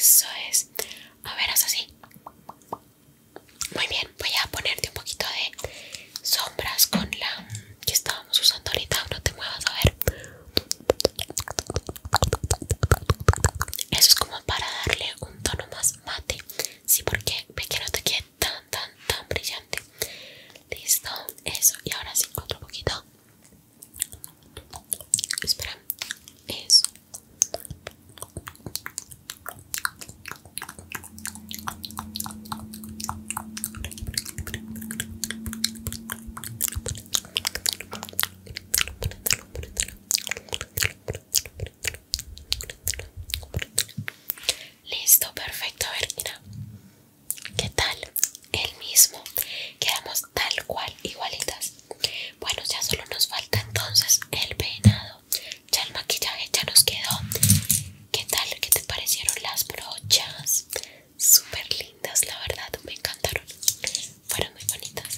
Eso es. A ver, haz así. Muy bien, voy a ponerte un poquito de sombras con la que estábamos usando ahorita. No te muevas, a ver. Eso es como para darle un tono más mate. Sí, porque ve que no te quede tan, tan, tan brillante. Listo, eso. Y ahora sí, otro poquito. Espera, eso. Listo, perfecto. A ¿Qué tal? El mismo. Quedamos tal cual, igualitas. Bueno, ya solo nos falta entonces el peinado. Ya el maquillaje ya nos quedó. ¿Qué tal? ¿Qué te parecieron las brochas? Súper lindas, la verdad, me encantaron. Fueron muy bonitas.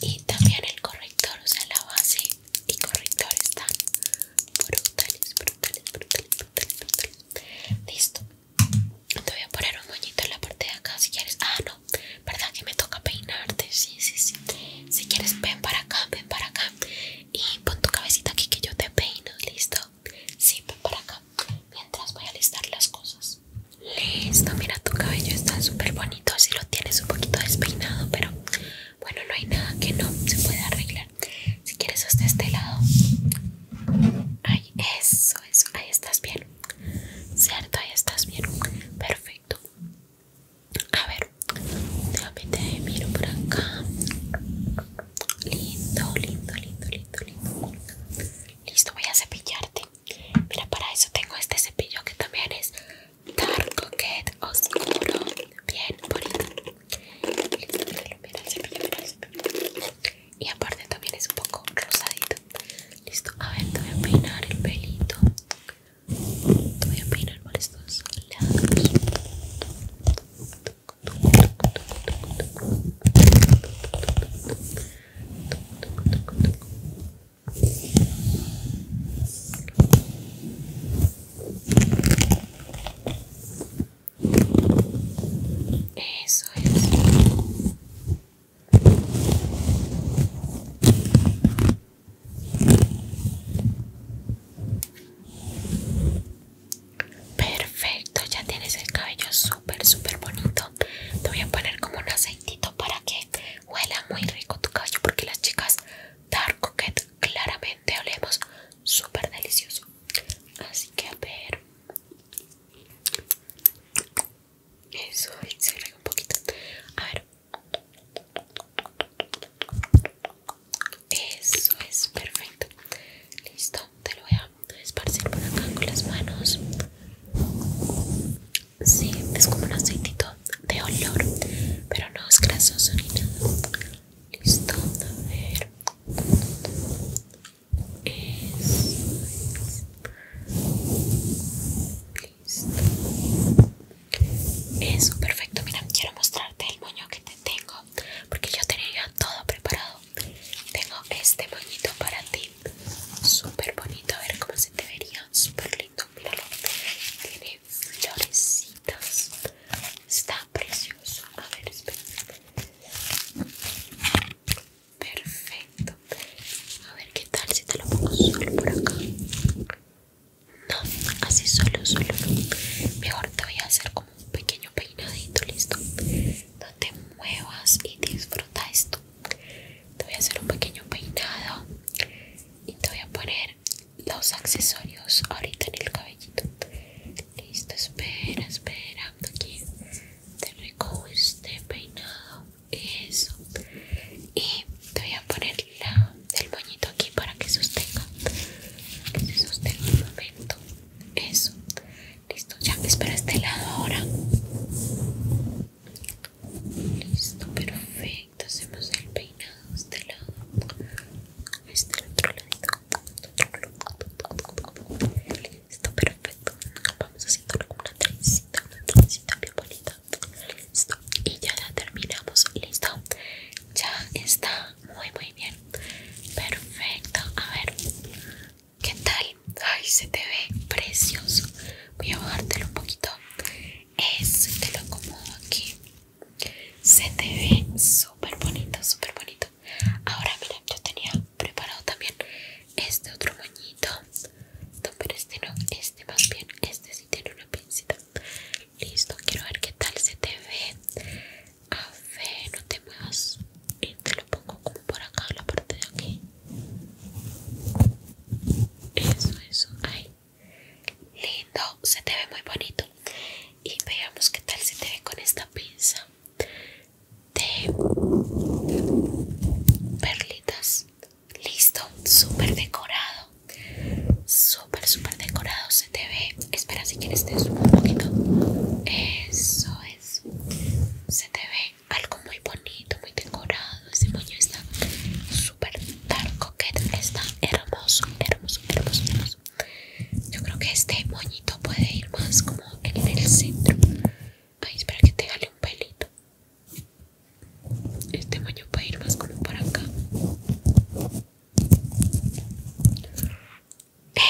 Y también el corrector, o sea, la base y corrector están brutales, brutales, brutales, brutales, Listo. Te voy a poner un moñito en la parte de acá si quieres. Ah, ¿verdad que me toca peinarte? Sí, sí, sí. Si quieres, ven para acá, ven para acá. Y pon tu cabecita aquí que yo te peino, ¿listo? Sí, ven para acá. Mientras voy a listar las cosas. Listo, mira, tu cabello está súper bonito. así lo tienes un poquito despeinado, pero bueno, no hay nada que no se pueda arreglar. Si quieres, hasta este lado. ay eso, eso. Ahí estás bien. ¿Cierto? Ahí estás bien. Perfecto. A ver, te miro por acá. Lindo, lindo, lindo, lindo, lindo. Listo, voy a cepillarte. Mira, para eso tengo este cepillo que también es Dark Coquette Oscuro. Bien bonito. Listo, mira el cepillo, mira el cepillo. Y aparte también es un poco rosadito. Listo, a ver, te voy a peinar el pelito voy a peinar por estos lados. Eso es. Perfecto, ya tienes el cabello súper, súper bonito. Te voy a poner como un aceitito para que huela muy rico tu cabello, porque las chicas Dark Coquette claramente olemos súper delicioso. Así que a ver. Eso, se un poquito. A ver, eso es perfecto. Listo, te lo voy a esparcir por acá con las manos. Sí, es como un aceitito de olor, pero no es grasoso ni nada. Listo, a ver. es. Eso, perfecto. Mira, quiero mostrarte el moño que te tengo. Porque yo tenía todo preparado. Tengo este moñito para ti. Súper bonito. A ver cómo se te vería. Súper lindo. Tiene florecitas. Está precioso. A ver, espera. Perfecto. A ver qué tal si te lo pongo solo por acá. No, así solo, solo Mejor te voy a hacer como un pequeño peinadito, listo. No te muevas y disfruta esto. Te voy a hacer un pequeño peinado y te voy a poner los accesorios ahorita en el cabellito. Listo, espera, espera. Aquí te recojo este peinado. Eso. Y te voy a poner la el moñito aquí para que sostenga que se sostenga un momento eso listo ya espera este lado ahora listo perfecto hacemos el peinado este lado este otro lado listo perfecto vamos haciendo una trencita una trencita bien bonita listo y ya la terminamos listo ya está muy muy bien perfecto a ver qué tal ay se te ve precioso voy a bajártelo un poquito es te lo acomodo aquí se te ve súper bonito súper bonito ahora mira yo tenía preparado también este otro moñito no, pero este no, este más bien, este sí tiene una pincita Listo, quiero ver qué tal se te ve. A ver, no te muevas. Y te lo pongo como por acá, la parte de aquí. Eso, eso, ahí. Lindo, se te ve muy bonito. Y veamos qué tal se te ve con esta pinza de perlitas. Listo, súper decorado. Súper, súper decorado se te ve. Espera si quieres te subo un poquito. Eso es. Se te ve algo muy bonito, muy decorado. Ese moño está súper dark Está hermoso, hermoso, hermoso, Yo creo que este moñito puede ir más como en el centro. ahí espera que te gale un pelito. Este moño para ir más como para acá.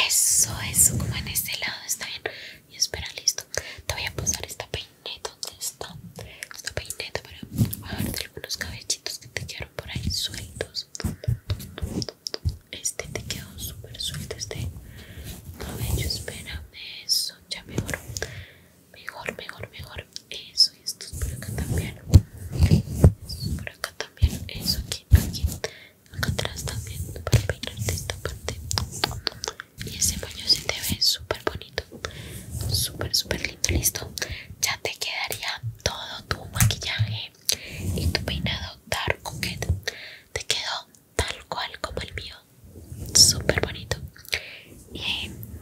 Eso, eso, como en este lado, está bien. Y espera, listo. Te voy a pasar esta peineta donde está. Esta peineta para bajarte algunos cabellitos que te quedaron por ahí sueltos. Este te quedó súper suelto, este cabello. espera eso ya mejor Mejor, mejor, mejor. Eso y esto por acá también. por acá también. Eso aquí, aquí. Acá atrás también. Para peinarte esta parte. Y ese baño se te ve súper bonito. Súper, súper lindo. Listo. Ya te quedaría todo tu maquillaje y tu peinado Dark Coquette. Te quedó tal cual como el mío. Súper bonito. Y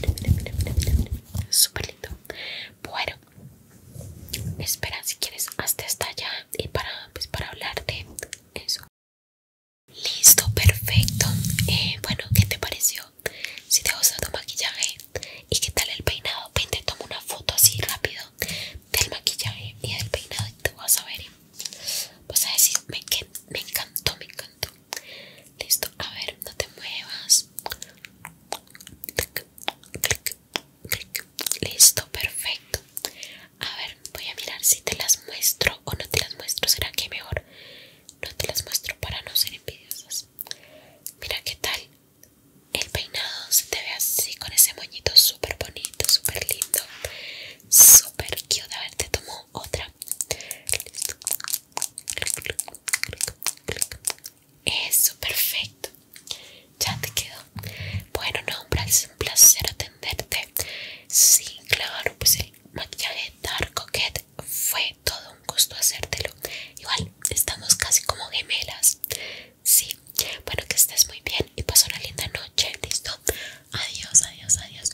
Mira, mira, mira, mira, mira, lindo. Bueno, espera si quieres hasta hasta allá y para, pues, para hablar de eso. Listo, perfecto. Eh, bueno, ¿qué te pareció? Si te gustó tu maquillaje y qué tal el peinado, Vente, toma una foto así rápido del maquillaje y del peinado y te vas a ver. Vas a decir, me encantó, me encantó. Listo, a ver, no te muevas. Listo, perfecto. A ver, voy a mirar si te las muestro o no te las muestro. ¿Será que mejor no te las muestro para no ser envidiosas? Mira qué tal. El peinado se te ve así con ese moñito súper bonito, súper lindo. Súper cute. A ver, te tomo otra. Listo. Eso, perfecto. Ya te quedó. Bueno, no, es un placer atenderte. Sí, claro, pues el maquillaje Dark Coquette fue todo un gusto hacértelo. Igual, estamos casi como gemelas. Sí, bueno, que estés muy bien y paso una linda noche. Listo. Adiós, adiós, adiós.